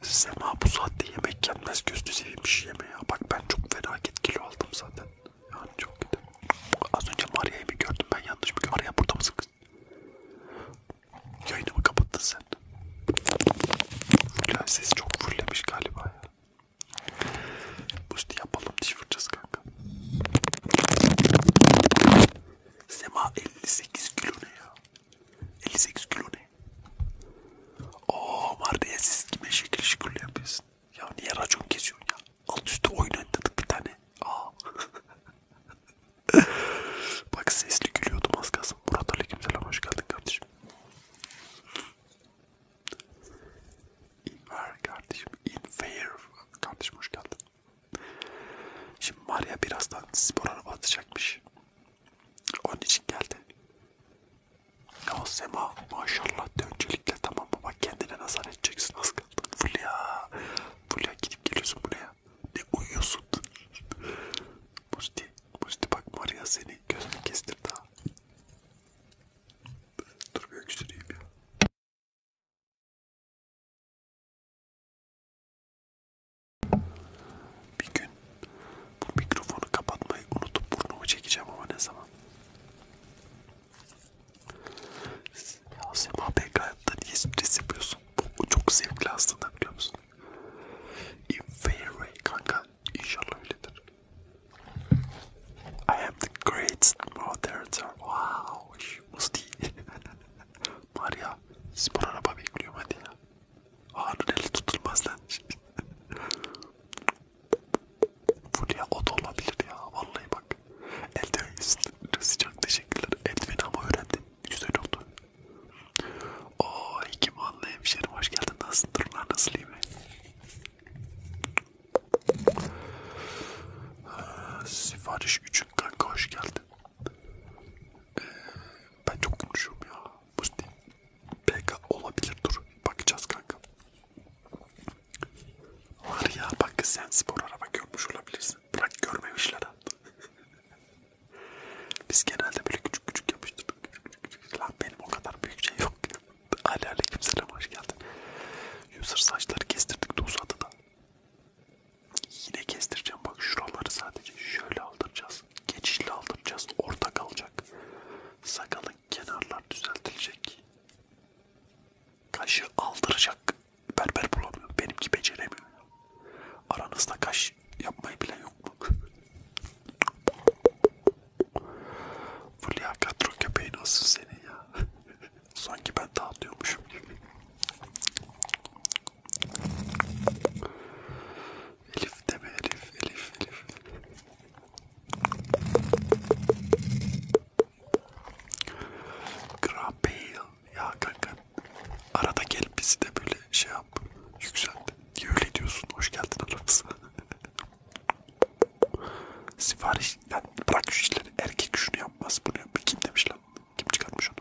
Sema bu saatte yemek yenmez gözünü seveyim bir şey yeme ya. Bak ben çok felaket kilo aldım zaten. Yani çok kötü. Az önce Maria'yı mı gördüm ben yanlış mı gördüm? Maria burada mısın kız? Yayını mı kapattın sen? Fulya sesi çok fullemiş galiba ya. Busti yapalım diş fırçası kanka. Sema 58 kilo ne ya? 58 kilo ne? Oo Marde'ye siz kime şekil şükür yapıyorsun? Ya niye racon kesiyorsun ya? Alt üstü oyun oynadık bir tane. Aa. Bak sesli gülüyordum az kalsın. Murat Aleykümselam hoş geldin kardeşim. İnver kardeşim. İnver kardeşim hoş geldin. Şimdi Maria birazdan spor araba atacakmış. Onun için geldi. O Sema maşallah döncülükle tamam mı? Bak kendine nazar edeceksin az kaldı. Fulya. Fulya gidip geliyorsun buraya. Ne uyuyorsun? Musti. Musti bak Maria seni gözünü kestirdi ha. Dur bir öksüreyim ya. Bir gün bu mikrofonu kapatmayı unutup burnumu çekeceğim ama ne zaman? Ya Sema Beykayat'ta niye stres yapıyorsun? Bu çok zevkli aslında biliyor musun? In fair way kanka. İnşallah öyledir. I am the greatest moderator. Wow. Muz değil. Maria spor araba bekliyorum hadi ya. Harun eli tutulmaz lan. Fulya o da olabilir ya. Vallahi bak. Eldiven sıcak teşekkürler. Eldiveni ama öğrendim. Güzel oldu. Oo iki manlı hemşerim hoş geldin. Nasılsın? Durumlar nasıl iyi mi? Ee, sipariş 3'ün kanka hoş geldin. Ee, ben çok gülüşüm ya. Musti. PK olabilir dur. Bakacağız kanka. Var ya bak sen spor araba görmüş olabilirsin. Bırak görmemişler ha. Biz genelde böyle küçük küçük yapıştırdık. Küçük küçük küçük. Lan benim o kadar büyük şey yok. Ali aleyküm selam hoş geldin. User saçları kestirdik de uzadı da. Yine kestireceğim bak şuraları sadece şöyle aldıracağız geçişle aldıracağız. Orta kalacak. Sakalın kenarlar düzeltilecek. Kaşı aldıracak. Berber bulamıyor. Benimki beceremiyor. Aranızda kaş yapmayı bile yok mu? Fulya Katro köpeği nasıl senin ya? Sanki ben dağıtıyormuşum gibi. Elif deme Elif, Elif, Elif. Grampil ya kanka arada gel bizi de böyle şey yap yükselt. Niye öyle diyorsun? Hoş geldin Alexa. Sipariş, yani bırak şu işleri. Erkek şunu yapmaz, bunu yapmaz. Kim demiş lan? Kim çıkartmış onu?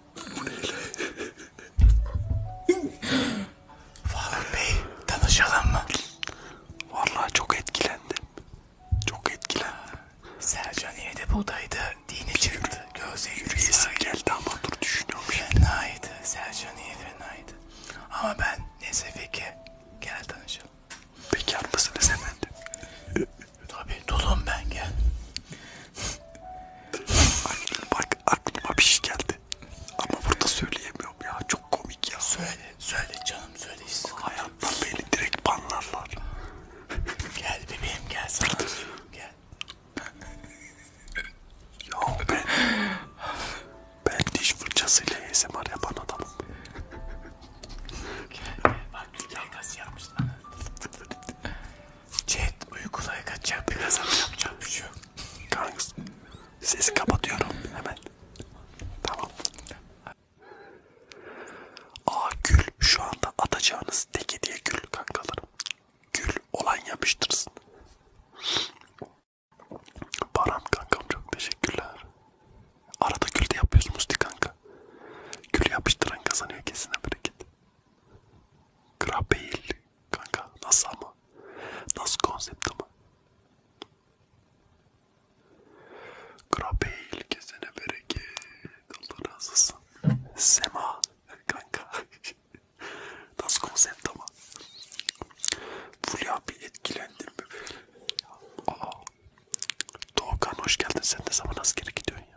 Bu neyle? Faruk Bey tanışalım mı? Vallahi çok etkilendim. Çok etkilendim. Sercan yine de buradaydı. Dini çıktı. Gözle yürüyesi geldi ama dur düşünüyorum. Fenaydı. Sercan iyi fenaydı. Ama ben neyse peki. Gel tanışalım. Bekar mısınız efendim? Tabii dudum ben gel. Aklım, bak aklıma bir şey geldi. Ama burada söyleyemiyorum ya. Çok komik ya. Söyle, söyle canım söyle. Hayatta beni direkt banlarlar. gel bebeğim gel sana gel. ya ben, ben diş fırçasıyla ASMR yapan adamım. Gel, bak güzel kas yapmışlar. Chat uykulara kaçacağım. Biraz ama yapacağım bir şey yok. Kanka sesi kapatıyorum hemen. Tamam. Aa gül şu anda atacağınız tek hediye gül kankalarım. Gül olan yapıştırsın. Baran kankam çok teşekkürler. Arada gül de yapıyoruz Musti kanka. Gül yapıştıran kazanıyor kesin bereket. Krabeyl kanka nasıl ama? Nasıl konsept ama? Krabeyl kesene bereket. Allah razı olsun. Sema kanka. nasıl konsept ama? Fulya bir etkilendim. Aa. Doğukan hoş geldin. Sen de zaman askere gidiyorsun ya.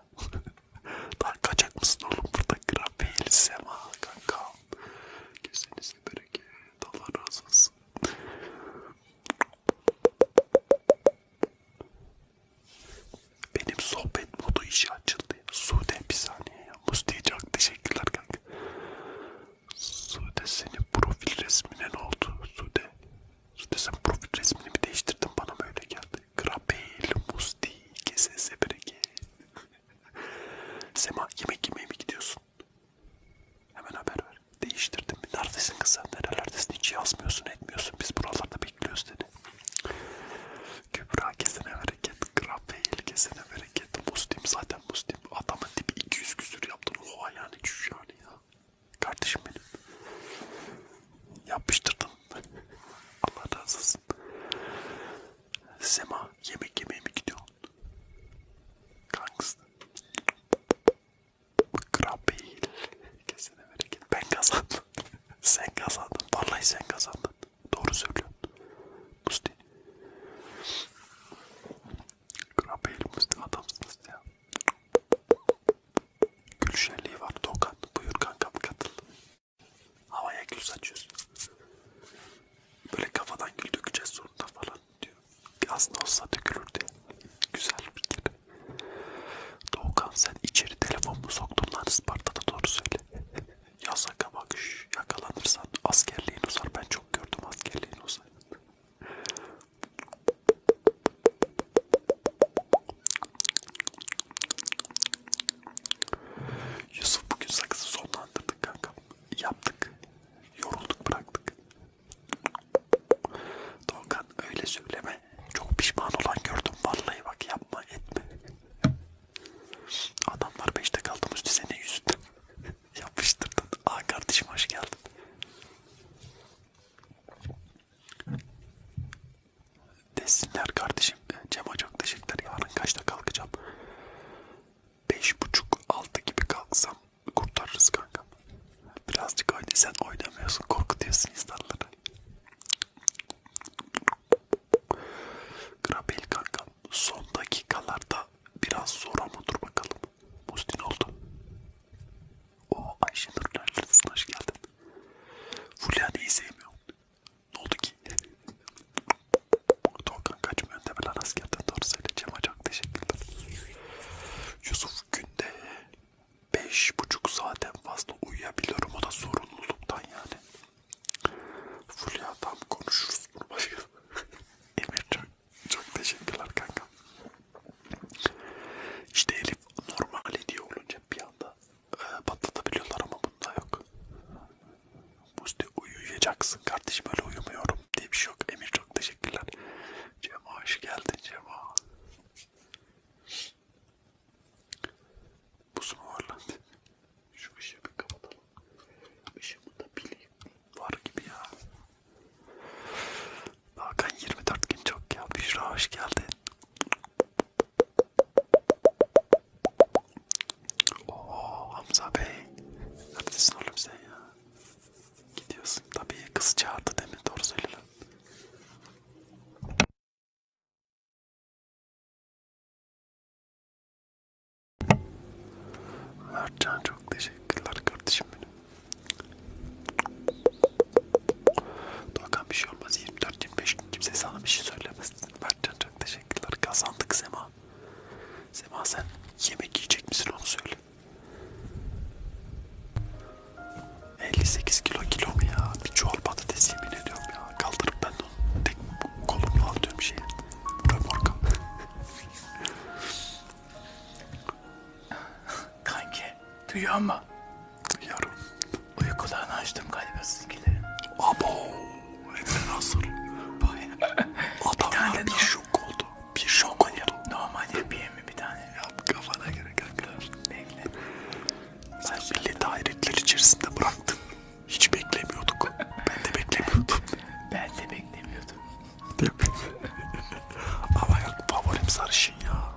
Daha kaçak mısın oğlum burada grafil sema kankam. Kesinize bereket. Allah razı olsun. Benim sohbet modu işi açıldı. Sude bir saniye ya. Musti'ye çok teşekkürler kanka. Sude senin profil resmine ne oldu? Sude. Sude sen profil resmini mi değiştirdin? Bana böyle geldi. Grapel, musti, kesese bereke. Sema yemek yemeye mi gidiyorsun? Hemen haber ver. Değiştirdim. Neredesin kız sen? Nerelerdesin? Hiç yazmıyorsun, etmiyorsun. Biz buralarda bekliyoruz dedi. Kübra kesene bereket. Grapel kesene bereket. Muslim zaten muslim. Adamın tipi 200 küsür yaptın. Oha yani cüş yani ya. Kardeşim benim. Yapıştırdın Allah razı olsun. Sema yemek yemeye mi gidiyorsun? Kankısın. Krabil. Kesene bereket. Ben kazandım. sen kazandın. Vallahi sen kazandın. Doğru söylüyorsun. Musti. Krabil Musti adamsın Musti ya. Gülşenliği var Dokan. Buyur kankam katıl. Havaya gül saçıyorsun. Böyle kafadan gül dökeceğiz sonunda falan diyor. Aslında olsa dökülürdü. Güzel bir tip. Doğukan sen içeri telefonunu soktun lan Isparta'da doğru söyle. Yasaka bak şş, yakalanırsan askerliğin uzar. Ben çok gördüm askerliğin uzar. Yusuf bugün sakızı sonlandırdık kanka. Yaptık. Yorulduk bıraktık. Doğukan öyle söyleme. Çok pişman olan gördüm. Vallahi bak yapma etme. Adamlar beşte kaldığımız senin yüzünden. Yapıştırdın. Aa kardeşim hoş geldin desinler kardeşim. Cema çok teşekkürler. Yarın kaçta kalkacağım? Beş buçuk altı gibi kalksam kurtarırız kanka. Birazcık oyna sen oynamıyorsun korkutuyorsun insanları. Grabel kanka son dakikalarda biraz zor ama dur bakalım. Mustin oldu. O Ayşenur neredesin hoş geldin. Fulya'yı sevmiyorum. Ne oldu ki? Tolkan kaçmıyor demeler askerden doğru söyleyeceğim. Çok teşekkürler. Yusuf günde 5,5 saatten fazla uyuyabiliyorum. O da sorumluluktan yani. Fulya tam konuşuruz bunu başka. Emir çok, çok teşekkürler kanka. İşte Elif normal hediye olunca bir anda patlatabiliyorlar ama bunda yok. Bu işte uyuyacaksın kardeşim öyle uyumuyorum diye bir şey yok. Emir çok teşekkürler. Cema hoş geldin Cema. Bu mu varlandı? Şu ışığı bir kapatalım. Işığımı da bileyim. Var gibi ya. Hakan 24 gün çok ya. Büşra hoş geldin. Oo Hamza Bey. Neredesin oğlum sen ya? Gidiyorsun. Tabii kız çağırdı değil mi? Doğru söyle lan. Mertcan çok teşekkürler kardeşim benim. Doğan bir şey olmaz 24-25 gün kimse sana bir şey söylemez. Mertcan çok teşekkür Teşekkürler. Kazandık Sema. Sema sen yemek yiyecek misin onu söyle. 58 kilo kilo mu ya? Bir çuval patates yemin ediyorum ya. Kaldırıp ben de onu tek kolumla atıyorum şeye. Römorka. Kanki duyuyor mu? Duyuyorum. Uykularını açtım galiba sizinkilerin. Abo. Emre Nasır. Adam bir tane ya, bir şok oldu. Bir şok normal, oldu. Normal yapayım mı bir tane? Yap kafana göre kanka. Bekle. Sen milleti hayretler içerisinde bıraktın. Hiç beklemiyorduk. ben de beklemiyordum. ben de beklemiyordum. Değil mi? Ama yok favorim sarışın ya.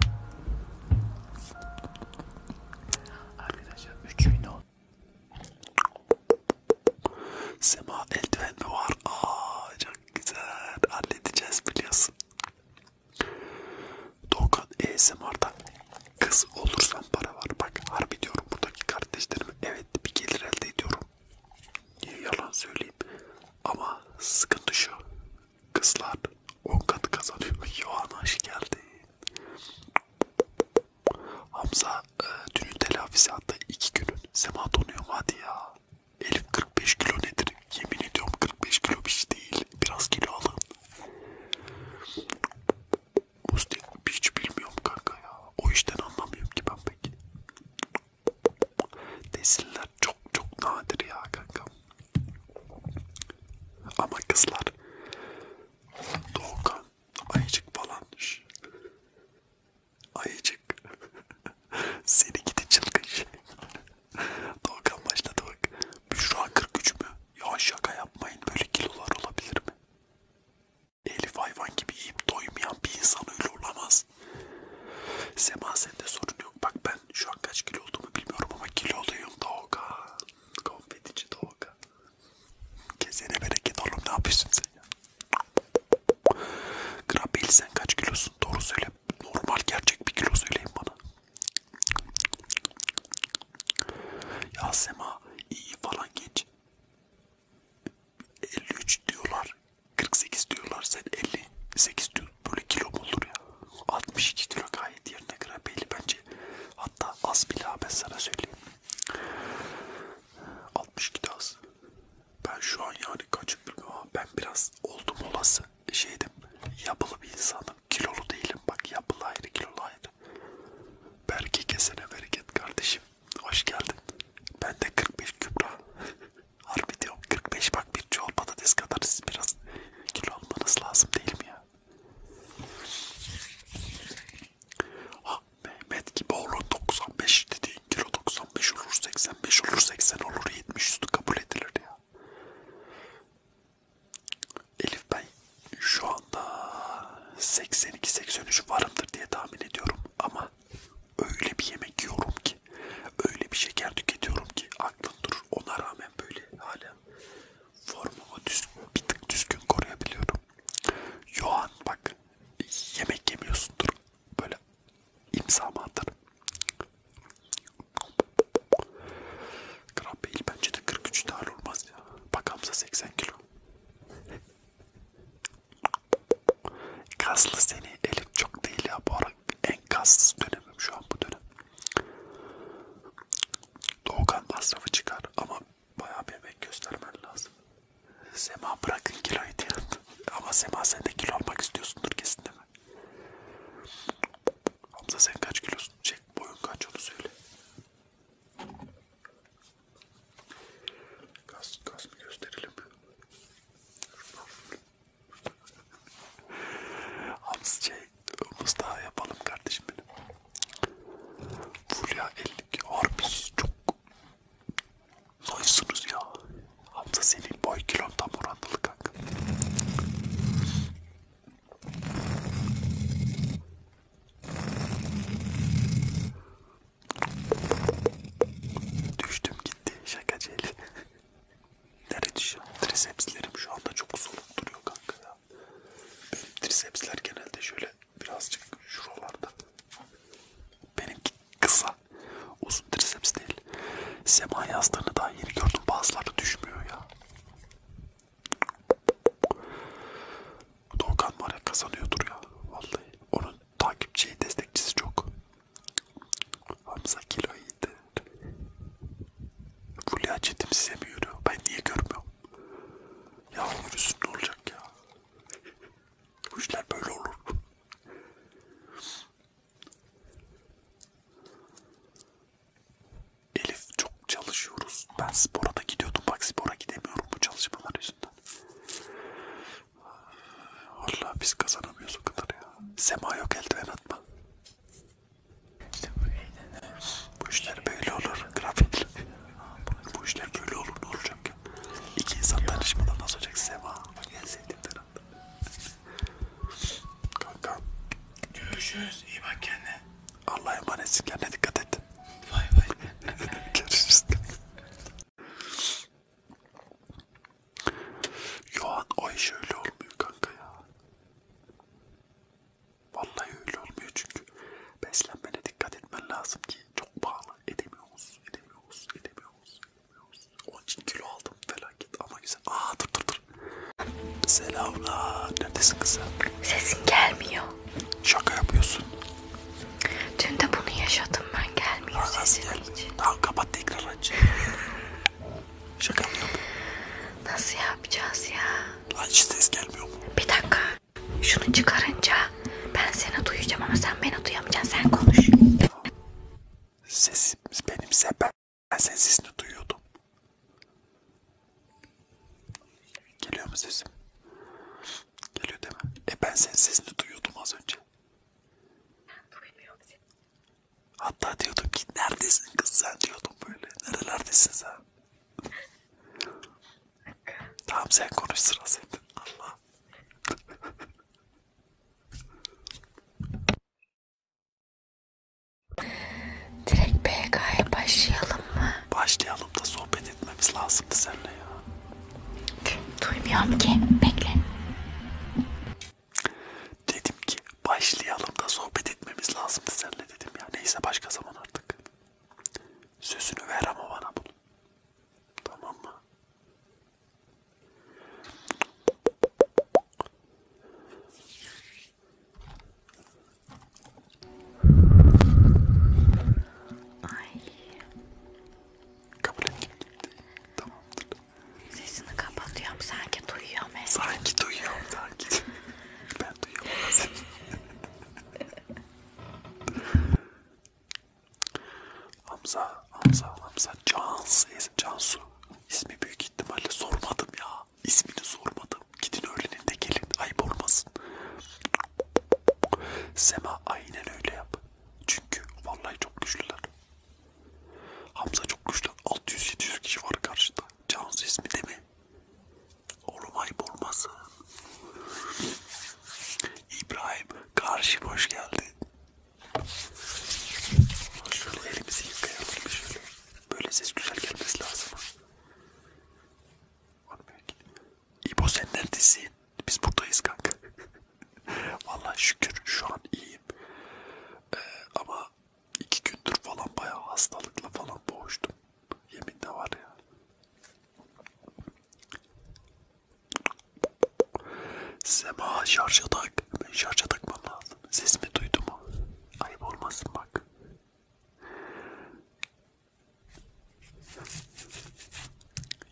Arkadaşlar 3000 oldu. Sema eldiven mi var? Aa çok güzel. Halledeceğiz biliyorsun. Doğukan ASMR'da kız olursam para var. Bak harbi diyorum buradaki kardeşlerime evet bir gelir elde ediyorum. Niye yalan söyleyeyim. Ama sıkıntı şu. Kızlar 10 katı kazanıyor. Yoğan hoş geldin. Hamza e, dünün telafisi hatta iki günün. Sema donuyorum hadi ya. Elif 45 kilo nedir? Yemin ediyorum 45 kilo bir şey değil. Biraz kilo alın. Musti hiç bilmiyorum kanka ya. O işten anlamıyorum ki ben pek. Nesiller çok çok nadir ya kanka. Ama kızlar Doğukan Ayıcık falan düş. Ayıcık. Seni gidi çılgın şey. Doğukan başladı bak. Büşra 43 mü? Ya şaka yapmayın böyle kilolar olabilir mi? Elif hayvan gibi yiyip doymayan bir insan öyle olamaz. Sema sende sorun yok. Bak ben şu an kaç kilo olduğumu bilmiyorum ama kiloluyum Doğukan. Konfetici Doğukan. Kesene bereket oğlum ne yapıyorsun sen ya? Grabil sen kaç kilosun? Doğru söyle. Normal gerçek bir kilo söyleyin bana. Ya Sema iyi falan geç. 53 diyorlar. 48 diyorlar. Sen 58 diyor. Böyle kilo mu olur ya? 62 kilo gayet yerine grabeli bence. Hatta az bile ben sana söyleyeyim. 62 az. Ben şu an yani kaç bilmiyorum ama ben biraz oldum olası şeydim. Yapılı bir insanım. Kilolu değilim. Bak yapılı ayrı kilolu ayrı. Belki kesene bereket kardeşim. Hoş geldin. Ben de 45 Kübra. Harbi diyorum 45 bak bir çoğul patates kadar siz biraz kilo almanız lazım değil mi ya? Ha, ah, Mehmet gibi olur 95 dediğin kilo 95 olur 85 olur 80 olur 70 üstü kabul edilir ya. Elif ben şu anda 82-83 varımdır diye tahmin ediyorum ama öyle bir yemek yiyorum ki öyle bir şeker tüketiyorum ki aklım durur ona rağmen böyle hala formumu düz, bir tık düzgün koruyabiliyorum Yohan bak yemek yemiyorsundur. Böyle imzamı atar. Kral Bey'il bence de 43 tane olmaz ya. Bak Hamza 80 kilo. Kaslı seni Elif çok değil ya bu ara en kassız dönemim şu an bu dönem. Doğukan masrafı çıkar ama bayağı bir emek göstermen lazım. Sema bırakın kiloyu diyor. Ama Sema sen de kilo almak istiyorsundur kesin değil mi? Hamza sen kaç kilosun? Çek boyun kaç onu söyle. Kas, kas mı gösterelim? Hamza şey, Mustafa yapalım kardeşim benim. Full ya 52 harbi siz çok zayısınız ya. Hamza senin boy kilon tam orantılı kanka. Düştüm gitti şakacı eli. Nereye düşüyor? Trisepslerim şu anda çok soluk duruyor kanka ya. Benim trisepsler genelde şöyle birazcık şuralarda. Benimki kısa. Uzun triceps değil. Sema yazlarını daha yeni gördüm. Bazıları düşmüyor ya. Doğukan var ya kazanıyordur ya. Vallahi. Onun takipçi destekçisi çok. Hamza kilo iyidir. Fulya Çetin size mi yürüyor? Ben niye görmüyorum? Ya yürüsün ne olacak ya? Bu işler böyle olur. Elif çok çalışıyoruz. Ben spora da gidiyordum. Bak spora gidemiyorum bu çalışmalar yüzünden. Allah biz kazanamıyoruz o kadar ya. Sema yok eldiven atma. İşte bu, bu işler böyle olur. Grafikler. Bu işler böyle olur ne olacak ya? İki insan tanışmadan nasıl olacak Sema? En sevdiğim taraf. Kanka. Görüşürüz. İyi bak kendine. Allah'a emanetsin kendine dikkat et. Vay vay. Görüşürüz. Yoğan o iş öyle olmuyor kanka ya. Vallahi öyle olmuyor çünkü beslenmene dikkat etmen lazım ki çok pahalı edemiyoruz, edemiyoruz, edemiyoruz, edemiyoruz. Onun için kilo aldım felaket ama güzel. Aa dur dur dur. Selamlar. Neredesin kızım? Sesin gelmiyor. Şaka yapıyorsun. Dün de bunu yaşadım ben gelmiyor Aa, sesim gelmiyor. hiç. Tamam kapat tekrar aç. Şaka mı yapıyorsun? Nasıl yapacağız ya? Lan hiç ses gelmiyor mu? Bir dakika. Şunu çıkarınca ben seni duyacağım ama sen beni duyamayacaksın. Sen konuş. Sesimiz benimse ben, ben senin sesini duyuyordum. Geliyor mu sesim? Geliyor değil mi? E ben senin sesini duyuyordum az önce. Hatta diyordum ki neredesin kız sen diyordum böyle. Nerelerdesin sen? Tamam sen konuş sıra sende. Allah. Direkt PK'ya başlayalım mı? Başlayalım da sohbet etmemiz lazımdı seninle ya. Duymuyorum ki. Bekle. Dedim ki başlayalım da sohbet etmemiz lazımdı seninle dedim ya. Neyse başka zaman artık. Sözünü ver ama bana bunu. Tamam mı? Ay. Kabul ettim. Tamamdır. Sesini kapatıyorum. Sanki duyuyor mu? Sanki duyuyor. Sanki. ben duyuyorum. Hamza, Hamza, Hamza, Cansu, Cansu. İsmi büyük ihtimalle sormadım ya. İsmini sormadım. Gidin öğlenin de gelin. Ayıp olmasın. Sema aynen öyle yap. Çünkü vallahi çok güçlüler. Hamza çok güçlü. 600-700 kişi var karşıda. Cansu ismi değil mi? Oğlum ayıp olmasın. İbrahim karşı hoş geldin. Şöyle elimizi yıkayalım şöyle. Böyle ses güzel gelmesi lazım. İbo sen neredesin? Biz buradayız kanka. Vallahi şükür şu an iyiyim. Ee, ama iki gündür falan bayağı hastalıkla falan boğuştum. Yemin de var ya. Sema şarja tak. Ben şarja takmam lazım. Ses mi duydu mu? Ayıp olmasın bak.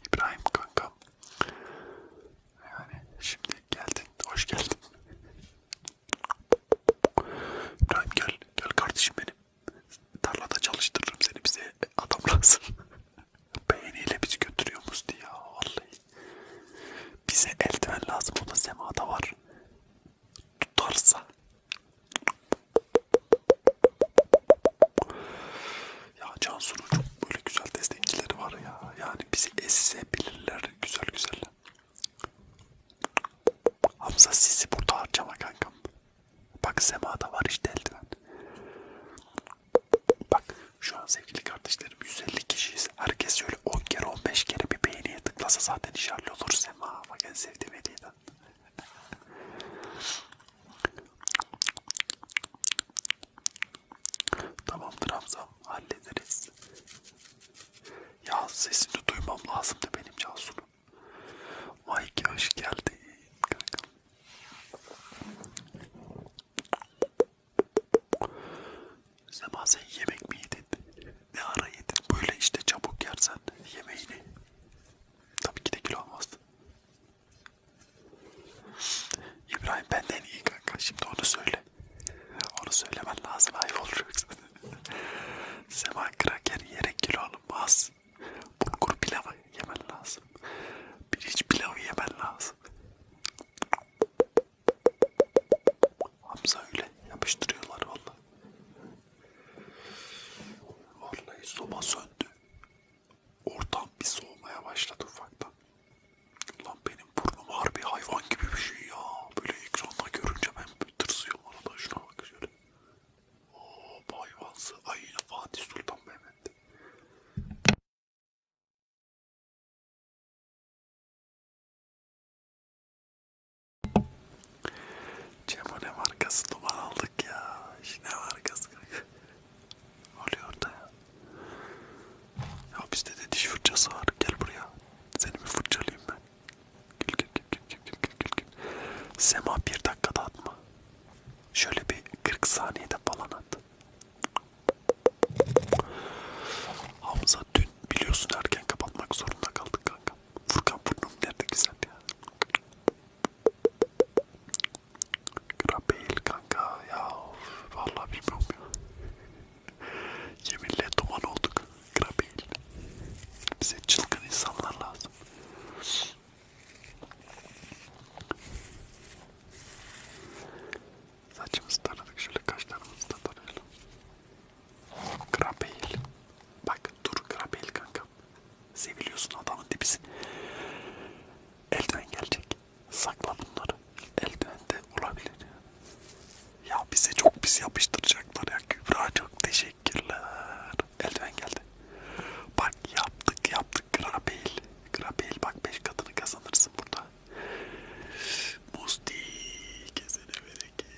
İbrahim kankam. Yani şimdi geldin. Hoş geldin. İbrahim gel. Gel kardeşim benim. Tarlada çalıştırırım seni bize adam lazım. Beğeniyle bizi götürüyor Musti ya vallahi. Bize eldiven lazım o da semada var. Tutarsa. Ya Cansu'nun çok böyle güzel destekçileri var ya. Yani bizi esebilirler güzel güzel. Hamza sizi burada harcama kankam. Bak semada var işte eldiven. Bak şu an sevgili kardeşlerim 150 kişiyiz. Herkes şöyle 10 kere 15 kere bir beğeniye tıklasa zaten işaretli olur sema. Bak en sevdiğim hediyeden. Tamamdır Hamzam hallederiz. Ya sesini duymam lazımdı benim Cansu'nun. Vay ki hoş geldin kankam. Sema sen yemek mi yedin? Ne ara yedin? Böyle işte çabuk yersen yemeğini. Tabii ki de kilo almazdı. İbrahim benden iyi kanka. Şimdi onu söyle. Onu söylemen lazım. Ayıp olur yoksa. Sema kraker yere kilo alınmaz lazım. Bulgur pilavı yemen lazım. Pirinç pilavı yemen lazım. Hamza öyle yapıştırıyorlar valla. Vallahi soba söndü. Ortam bir soğumaya başladı ufaktan. Lan benim burnum harbi hayvan gibi bir şey ya. Böyle ekranda görünce ben tırsıyorum. Arada şuna bak şöyle. Oo, hayvansı ayıyla Fatih Sultan Mehmet. Cemo ne markası duman aldık ya. Ne markası? Oluyor da ya. Ya bizde de diş fırçası var. Gel buraya. Seni bir fırçalayayım ben. Gül gül gül gül gül gül gül gül. Sema bir dakikada atma. Şöyle bir 40 saniyede falan at. Hamza dün biliyorsun erken kapatmak zorunda kaldık kanka. Furkan burnum nerede güzel ya. Grabel kanka ya vallahi bilmiyorum ya. Yeminle duman olduk. Grabel. Bize çılgın insanlar lazım. Saçımızı taradık şöyle kaşlarımızı da tarayalım. Krabeyl. Bak dur Krabeyl kanka. Seviliyorsun adamın dibisin. Eldiven gelecek. Sakla bunları. Eldiven de olabilir. Ya bize çok pis yapıştıracaklar ya Kübra çok teşekkürler oldu. Eldiven geldi. Bak yaptık yaptık Grabel. Grabel bak 5 katını kazanırsın burada. Musti kesene bereket.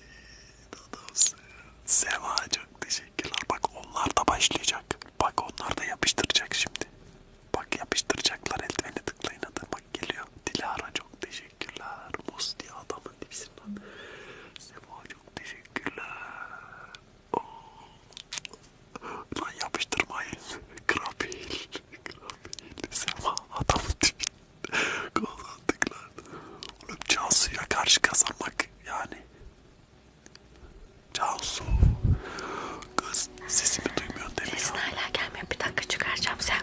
Adamsın. Seva çok teşekkürler. Bak onlar da başlayacak. Bak onlar da yapıştıracak şimdi. Bak yapıştıracaklar eldiveni tıklayın adı. Bak geliyor. Dilara çok teşekkürler. Musti adamın dibisinden. Seva çok teşekkürler. Lan yapıştırmayın. Krapil. Krapil. Sema adam tipi. Kazandık lan. Oğlum Cansu'ya karşı kazanmak yani. Cansu. Kız sesimi duymuyorsun değil mi Sesin ya? hala gelmiyor. Bir dakika çıkaracağım sen.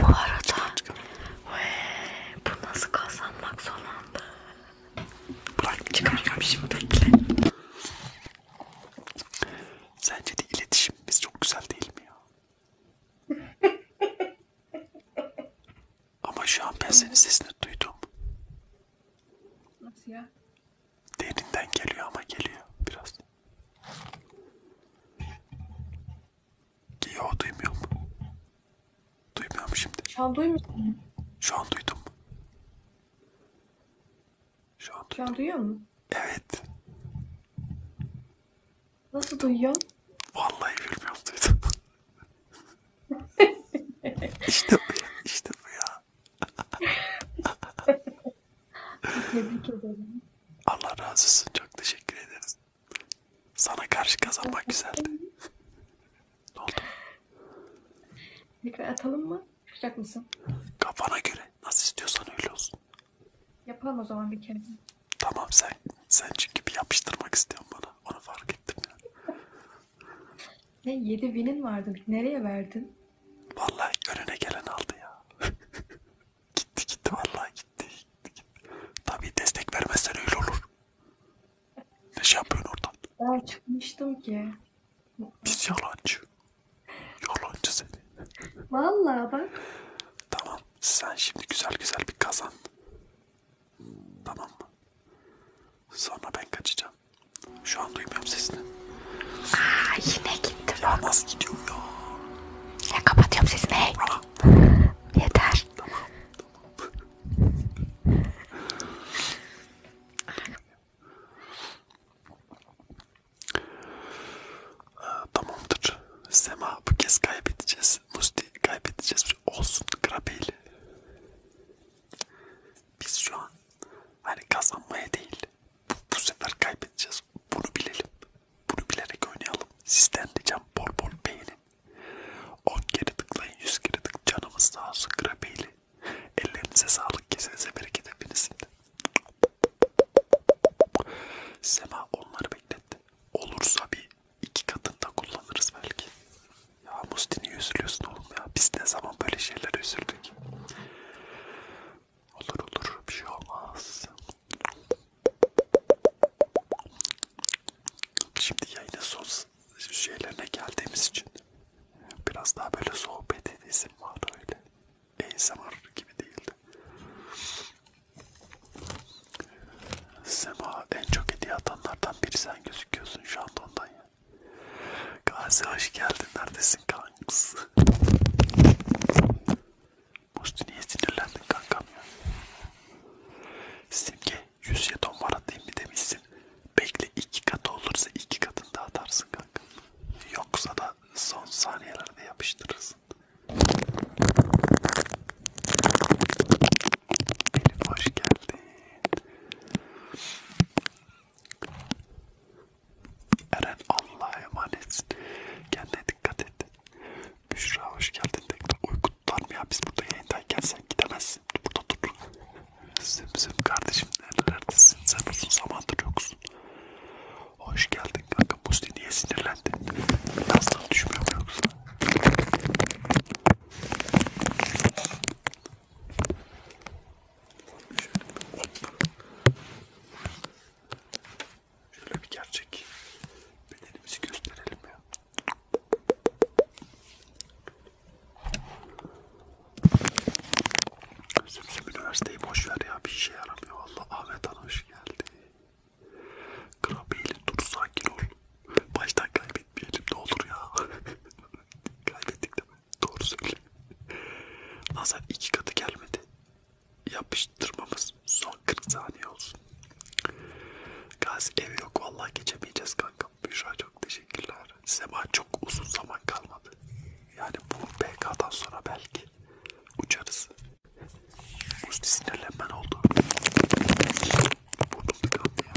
Bu arada. Çıkar, çıkar. Wee, bu nasıl kazanmak son anda. Bırak çıkaracağım şimdi bekle. Sence de iletişimimiz çok güzel değil mi ya? Ama şu an ben senin sesini duydum. Nasıl ya? Derinden geliyor ama geliyor biraz. Yo duymuyor mu? Duymuyor mu şimdi? Şu an duymuyor Şu an duydum. Şu an, Şu an duyuyor musun? Evet. Nasıl duyuyorsun? Vallahi bilmiyorum duydum. işte bu ya. İşte bu ya. Tebrik ederim. Allah razı olsun. Çok teşekkür ederiz. Sana karşı kazanmak güzeldi. ne oldu? Tekrar atalım mı? Çıkacak mısın? Kafana göre. Nasıl istiyorsan öyle olsun. Yapalım o zaman bir kere. Tamam sen sen çünkü bir yapıştırmak istiyorsun bana. Onu fark ettim ya. Sen 7 binin vardı. Nereye verdin? Vallahi önüne gelen aldı ya. gitti gitti vallahi gitti, gitti, gitti. Tabii destek vermezsen öyle olur. Ne şey yapıyorsun orada? Ben çıkmıştım ki. Biz yalancı. Yalancı seni. Vallahi bak. Tamam. Sen şimdi güzel güzel bir kazan. Tamam mı? Sonra ben kaçacağım. Şu an duymuyorum sesini. Aa yine gitti. Ya nasıl gidiyor ya? Ya kapatıyorum sesini. Hey. Aa. Yeter. Tamam. tamam. Ee, tamamdır. Sema bu kez kaybedeceğiz. Musti kaybedeceğiz. Olsun Grabeyli. Biz şu an hani kazanmaya değil bu, bu sefer kaybedeceğiz. Bunu bilelim. Bunu bilerek oynayalım. Sizden diyeceğim bol bol beğenin. 10 kere tıklayın, 100 kere tıklayın. Canımız sağ olsun Grabeyli. Ellerinize sağlık, kesinize bereket hepinizin de. Sema onları bekletti. Olursa bir iki katında kullanırız belki. Ya Musti niye üzülüyorsun oğlum ya? Biz ne zaman böyle şeylere üzüldük? Olur olur bir şey olmaz. Şimdi yayının son şeylerine geldiğimiz için Biraz daha böyle sohbet edesim vardı öyle. ASMR gibi değildi. Sema en çok hediye atanlardan biri sen gözüküyorsun şu anda ondan ya. Gazi hoş geldin neredesin kanks? Musti niye sinirlendin kankam ya? Simge 100 jeton var atayım mı demişsin. Bekle iki kat olursa iki katını da atarsın olacak. Yoksa da son saniyelerde yapıştırırsın. Elif hoş geldin. Eren Allah'a emanetsin. Kendine dikkat et. Büşra hoş geldin tekrar. Uyku tutar mı ya? Biz burada yayındayken sen gidemezsin. Burada dur. Zımzım kardeşim nerelerdesin? Sen uzun zamandır yoksun. Hoş geldin kanka. Musti niye sinirlendi? Yastan düşmüyor mu yoksa? Şöyle bir gerçek bedenimizi gösterelim ya. Sümsüm üniversiteyi boş ver ya bir şey yaramıyor. Allah Ahmet Hanım hoş geldi. Krabiyelim dur sakin ol. Baştan kaybetmeyelim ne olur ya. Kaybettik de mi? Doğru söyle. Nazar iki katı gelmedi. Yapıştırmamız son 40 saniye olsun. Gazi evi yok vallahi geçemeyeceğiz kanka. Büşra çok teşekkürler var. Zaman çok uzun zaman kalmadı. Yani bu PK'dan sonra belki uçarız. Musti sinirlenmen oldu. Burnum tıkandı ya.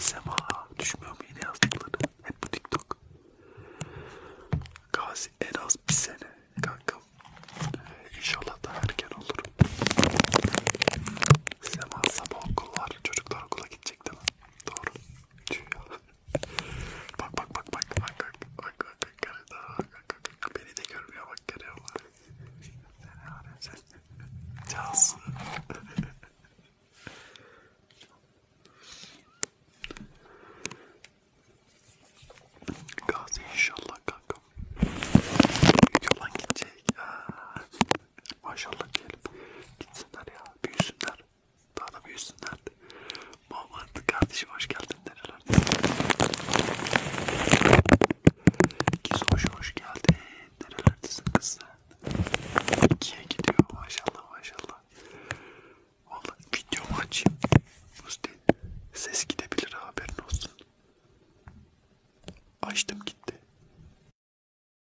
Sema düşmüyor mu yine yazdıkları? Hep bu TikTok. Gazi en az bir sene kankam. Ee, inşallah daha erken olur. Sema sabah okul var. Çocuklar okula gidecek değil mi? Doğru. Tüh ya bak bak bak bak bak bak bak bak bak beni de görmüyor bak görüyor bak Cansu Gazi inşallah kankam Yalan gidecek Maşallah diyelim Gitsinler ya büyüsünler daha da büyüsünler. Muhammed kardeşim hoş geldin nereler. Kisoş hoş geldin. Nerelerdesin kız sen? İkiye gidiyor maşallah maşallah. Valla videomu açayım. Musti ses gidebilir haberin olsun. Açtım gitti.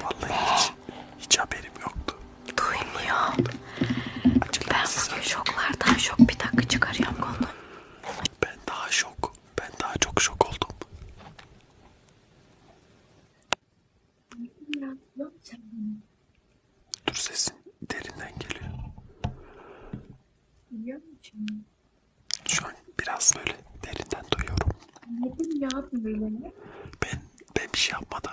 Vallahi hiç, hiç haberim yoktu. Duymuyor. Ben bugün şoklardan şok bir dakika çıkarıyorum konu. Ben daha şok. Ben daha çok şok oldum. Dur sesin derinden geliyor. Biliyor musun? Şu an biraz böyle derinden duyuyorum. Nedim ya böyle? Ben, ben bir şey yapmadım.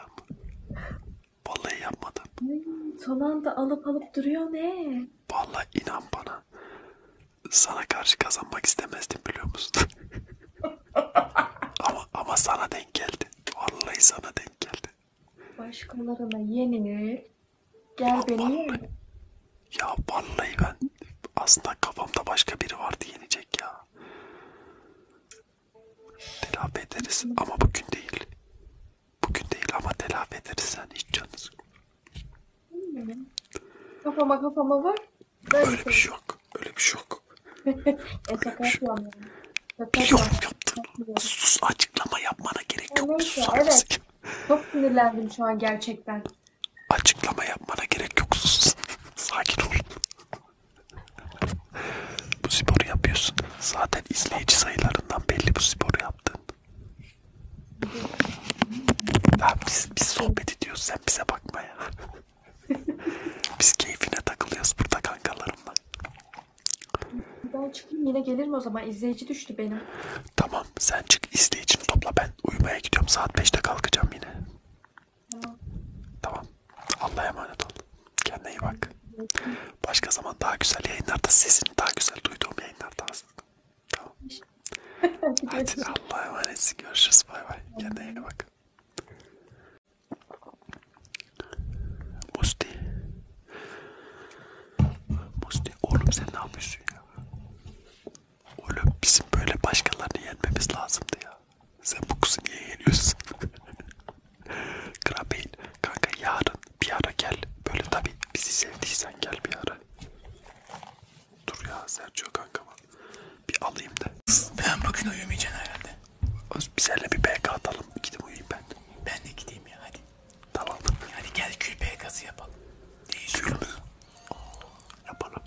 Vallahi yapmadım. Hmm, son anda alıp alıp duruyor ne? Vallahi inan bana. Sana karşı kazanmak istemezdim biliyor musun? ama, ama sana denk geldi. Vallahi sana denk geldi. Başkalarına yenilir. Gel beni yen. Ya vallahi ben aslında kafamda başka biri vardı yenecek ya. Telafi ederiz ama bugün değil. Bugün değil ama telafi ederiz sen yani hiç canını hmm. Kafama kafama var. Ben öyle bir şey yok. Öyle bir şey yok. öyle bir şey yok. Biliyorum yaptım. Sus açıklama yapmana gerek yok. Evet, bir susar evet. mısın? Çok sinirlendim şu an gerçekten. Açıklama yapmana gerek yok. Sus. Sakin ol. bu sporu yapıyorsun. Zaten izleyici sayılarından belli bu sporu yaptın. Ya biz, biz sohbet ediyoruz sen bize bakma ya. biz keyfine takılıyoruz burada kankalarımla. Ben çıkayım yine gelirim o zaman. İzleyici düştü benim. Tamam sen çık izleyicini topla. Ben uyumaya gidiyorum. Saat 5'te kalkacağım yine. Tamam. Tamam. Allah'a emanet ol. Kendine iyi bak. Başka zaman daha güzel yayınlarda sesini daha güzel duyduğum yayınlarda aslında. Tamam. Hadi Allah'a emanetsin. Görüşürüz. Bay bay. Kendine iyi bak. Musti. Musti oğlum sen ne yapıyorsun ya? Oğlum bizim böyle başkalarını yenmemiz lazımdı ya. Sen bu kızı niye yeniyorsun? Krabeyn kanka yarın bir ara gel. Böyle tabi bizi sevdiysen gel bir ara. Dur ya Sergio kanka var. Bir alayım da. Ben bugün uyumayacaksın herhalde. Biz seninle bir BK atalım. Gidip uyuyayım ben. Ben de gideyim ya hadi. Tamam. Yani gel külpe gazı yapalım. Değişiyor. Külpe. Yapalım.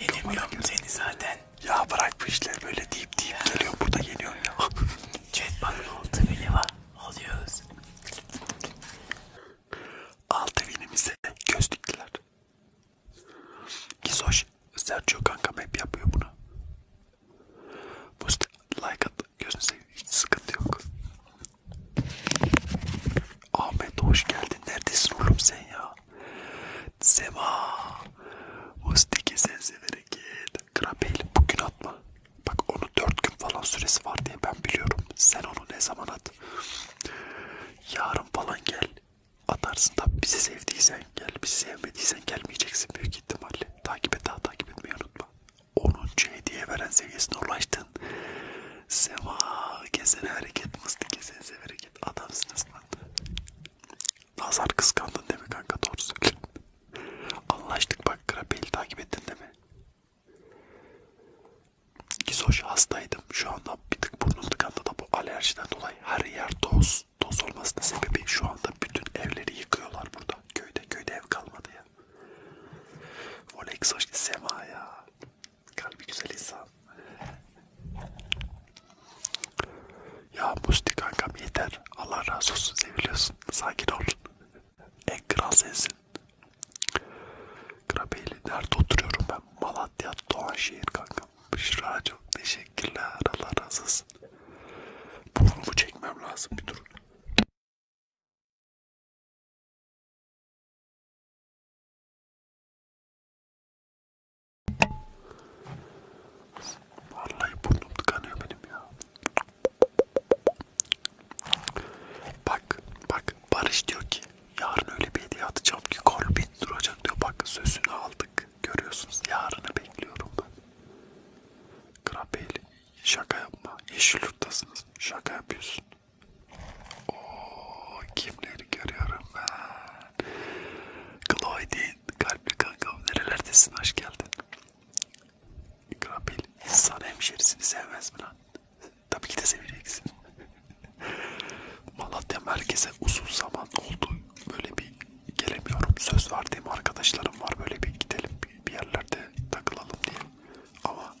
Yenemiyorum seni zaten. Ya bırak bu işler böyle deyip deyip ya. geliyor burada geliyor ya. Chat bak altı bile var. Alıyoruz. Altı binimize göz diktiler. Gizoş, Sergio kankam hep yapıyor bunu. Mustafa like at. Gözünü seveyim. Hiç sıkıntı yok. Ahmet hoş geldin. Neredesin oğlum sen ya? Sema. Mustiki sen severek git. Krabeyli bugün atma. Bak onu 4 gün falan süresi var diye ben biliyorum. Sen onu ne zaman at? Yarın falan gel. Atarsın tabi bizi sevdiysen gel. Bizi sevmediysen gelmeyeceksin büyük ihtimalle. Takip et daha takip etmeyi unutma. 10. hediye veren seviyesine ulaştın. Sema kesene hareket mısın kesene hareket adamsınız lan. Nazar kıskandın değil mi kanka doğru söyle. Anlaştık bak Krapel'i takip ettin değil mi? Gizoş hastaydım şu anda bir tık burnum tıkandı da bu alerjiden dolayı her yer toz. Toz olmasının sebebi şu anda bütün evleri yıkıyorlar burada. Köyde köyde ev kalmadı ya. Volex hoş Sema ya. Kalbi güzel insan. Ya Musti kankam yeter. Allah razı olsun seviliyorsun. Sakin ol. En kral sensin. Krabeyli nerede oturuyorum ben? Malatya Doğanşehir kankam. Büşra çok teşekkürler. Allah razı olsun. Burnumu çekmem lazım bir dur. Vallahi burnum tıkanıyor benim ya. Bak, bak Barış diyor ki yarın öyle bir hediye atacağım ki korbit duracak diyor. Bak sözünü aldık. Görüyorsunuz yarını bekliyorum ben. Krabeli. Şaka yapma. Yeşil yurttasınız. Şaka yapıyorsun. Ooo kimleri görüyorum ben. Gloidin kalpli kankam nerelerdesin hoş geldin. Grabil insan hemşerisini sevmez mi lan? Tabii ki de seveceksin. Malatya merkeze uzun zaman oldu. Böyle bir gelemiyorum. Söz verdiğim arkadaşlarım var böyle bir gidelim bir yerlerde takılalım diye. Ama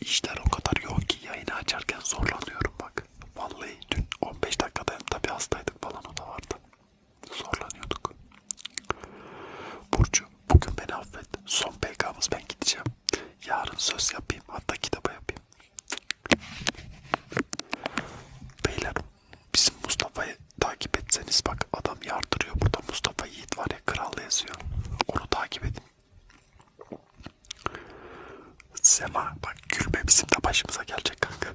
İşler o kadar yoğun ki yayını açarken zorlanıyorum bak. Vallahi dün 15 dakikadayım tabi hastaydık falan o da vardı. Zorlanıyorduk. Burcu bugün beni affet. Son PK'mız ben gideceğim. Yarın söz yapayım hatta kitaba yapayım. Beyler bizim Mustafa'yı takip etseniz bak adam yardırıyor burada Mustafa'yı Yiğit var ya kralda yazıyor. Onu takip edin. Sema bak gülme bizim de başımıza gelecek kanka.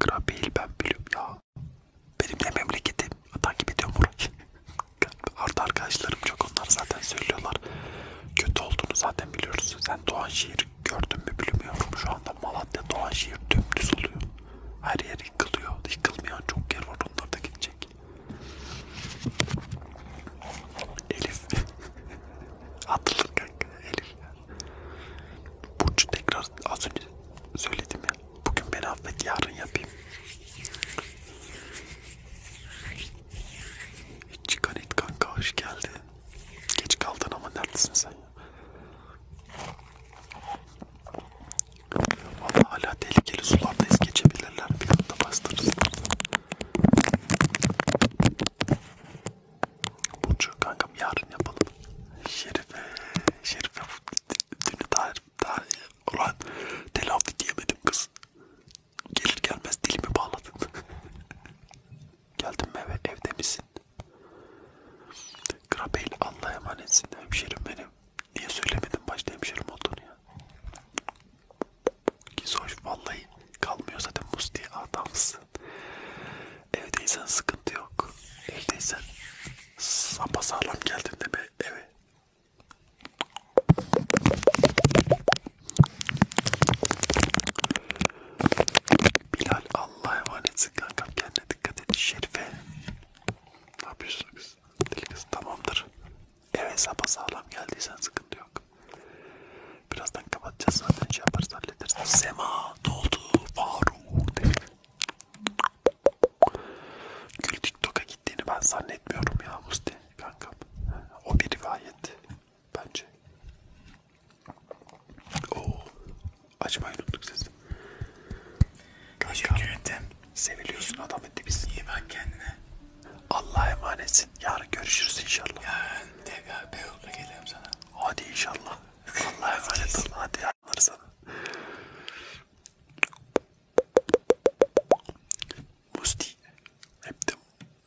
Grabil ben biliyorum ya. Benim de memleketim. Takip ediyorum burayı. Arda arkadaşlarım çok onlar zaten söylüyorlar. Kötü olduğunu zaten biliyoruz. Sen Doğanşehir gördün mü bilmiyorum. Şu anda Malatya Doğanşehir dümdüz oluyor. Her yer yıkılıyor. Yıkılmayan çok yer var. Onlar da gidecek. Elif. Hatırlar kanka. Elif. Burcu tekrar az önce söyledim ya. Bugün beni affet yarın yapayım. Hiç çıkan it kanka hoş geldin. Geç kaldın ama neredesin sen ya? Valla hala tehlikeli sulardayız geçebilirler. Bir anda bastırırız. Burcu kankam yarın yapalım. Şerife, Şerife dünü daha, daha ulan telafi diyemedim kız. Gelir gelmez dilimi bağladım. Geldim eve evde misin? Grabeyle Allah'a emanetsin hemşerim benim. Niye söylemedim başta hemşerim olduğunu ya? Gizoş vallahi kalmıyor zaten buz diye adamsın. Evdeysen sıkıntı yok. Evdeysen sapasağlam geldin de be eve. Bilal Allah'a emanetsin kankam kendine dikkat et Şerife ne yapıyorsun kız? Deli kız tamamdır. Eve sapa sağlam geldiysen sıkıntı yok. Birazdan kapatacağız zaten şey yaparız hallederiz. Sema doldu Faruk dedi. Gül TikTok'a gittiğini ben zannetmiyorum ya Musti kankam. O bir rivayet bence. Oo, Açmayı unuttuk siz. Teşekkür ettim. Seviliyorsun adam biz. İyi bak kendine. Allah'a emanetsin. Yarın görüşürüz inşallah. Yarın tekrar Beyoğlu'na gelirim sana. Hadi inşallah. Allah'a emanet ol. Hadi yarınlar sana. Musti. Hep de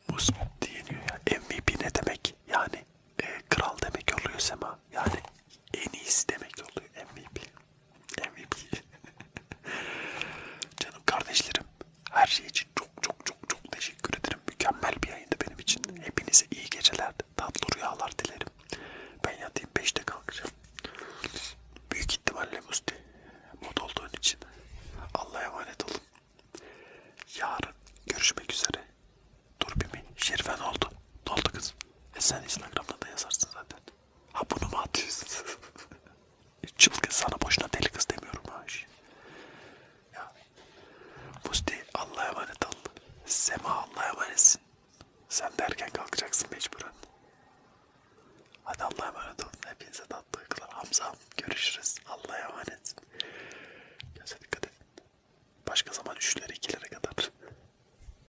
Musti deniyor ya. MVP ne demek? Yani e, kral demek oluyor Sema. Yani en iyisi demek oluyor MVP. MVP. Canım kardeşlerim, her şey için çok çok çok çok teşekkür ederim. Mükemmel bir yayındı benim için. Hepinize iyi geceler, tatlı rüyalar dilerim. Ben yatayım 5'te kalkacağım. Büyük ihtimalle Musti mod olduğun için. Allah'a emanet olun. Yarın görüşmek üzere. Dur bir mi? Şerifen oldu. Ne oldu kız? E sen Instagram'da da yazarsın zaten. Ha bunu mu atıyorsun? Çılgın sana boşuna deli kız demiyorum ha. Şey. Ya. Musti Allah'a emanet ol. Sema Allah'a emanetsin. Sen de erken kalkacaksın mecburen. Hadi Allah'a emanet olun. Hepinize tatlı uykular. Hamza görüşürüz. Allah'a emanet. Göze dikkat edin. Başka zaman 3'lere 2'lere kadar.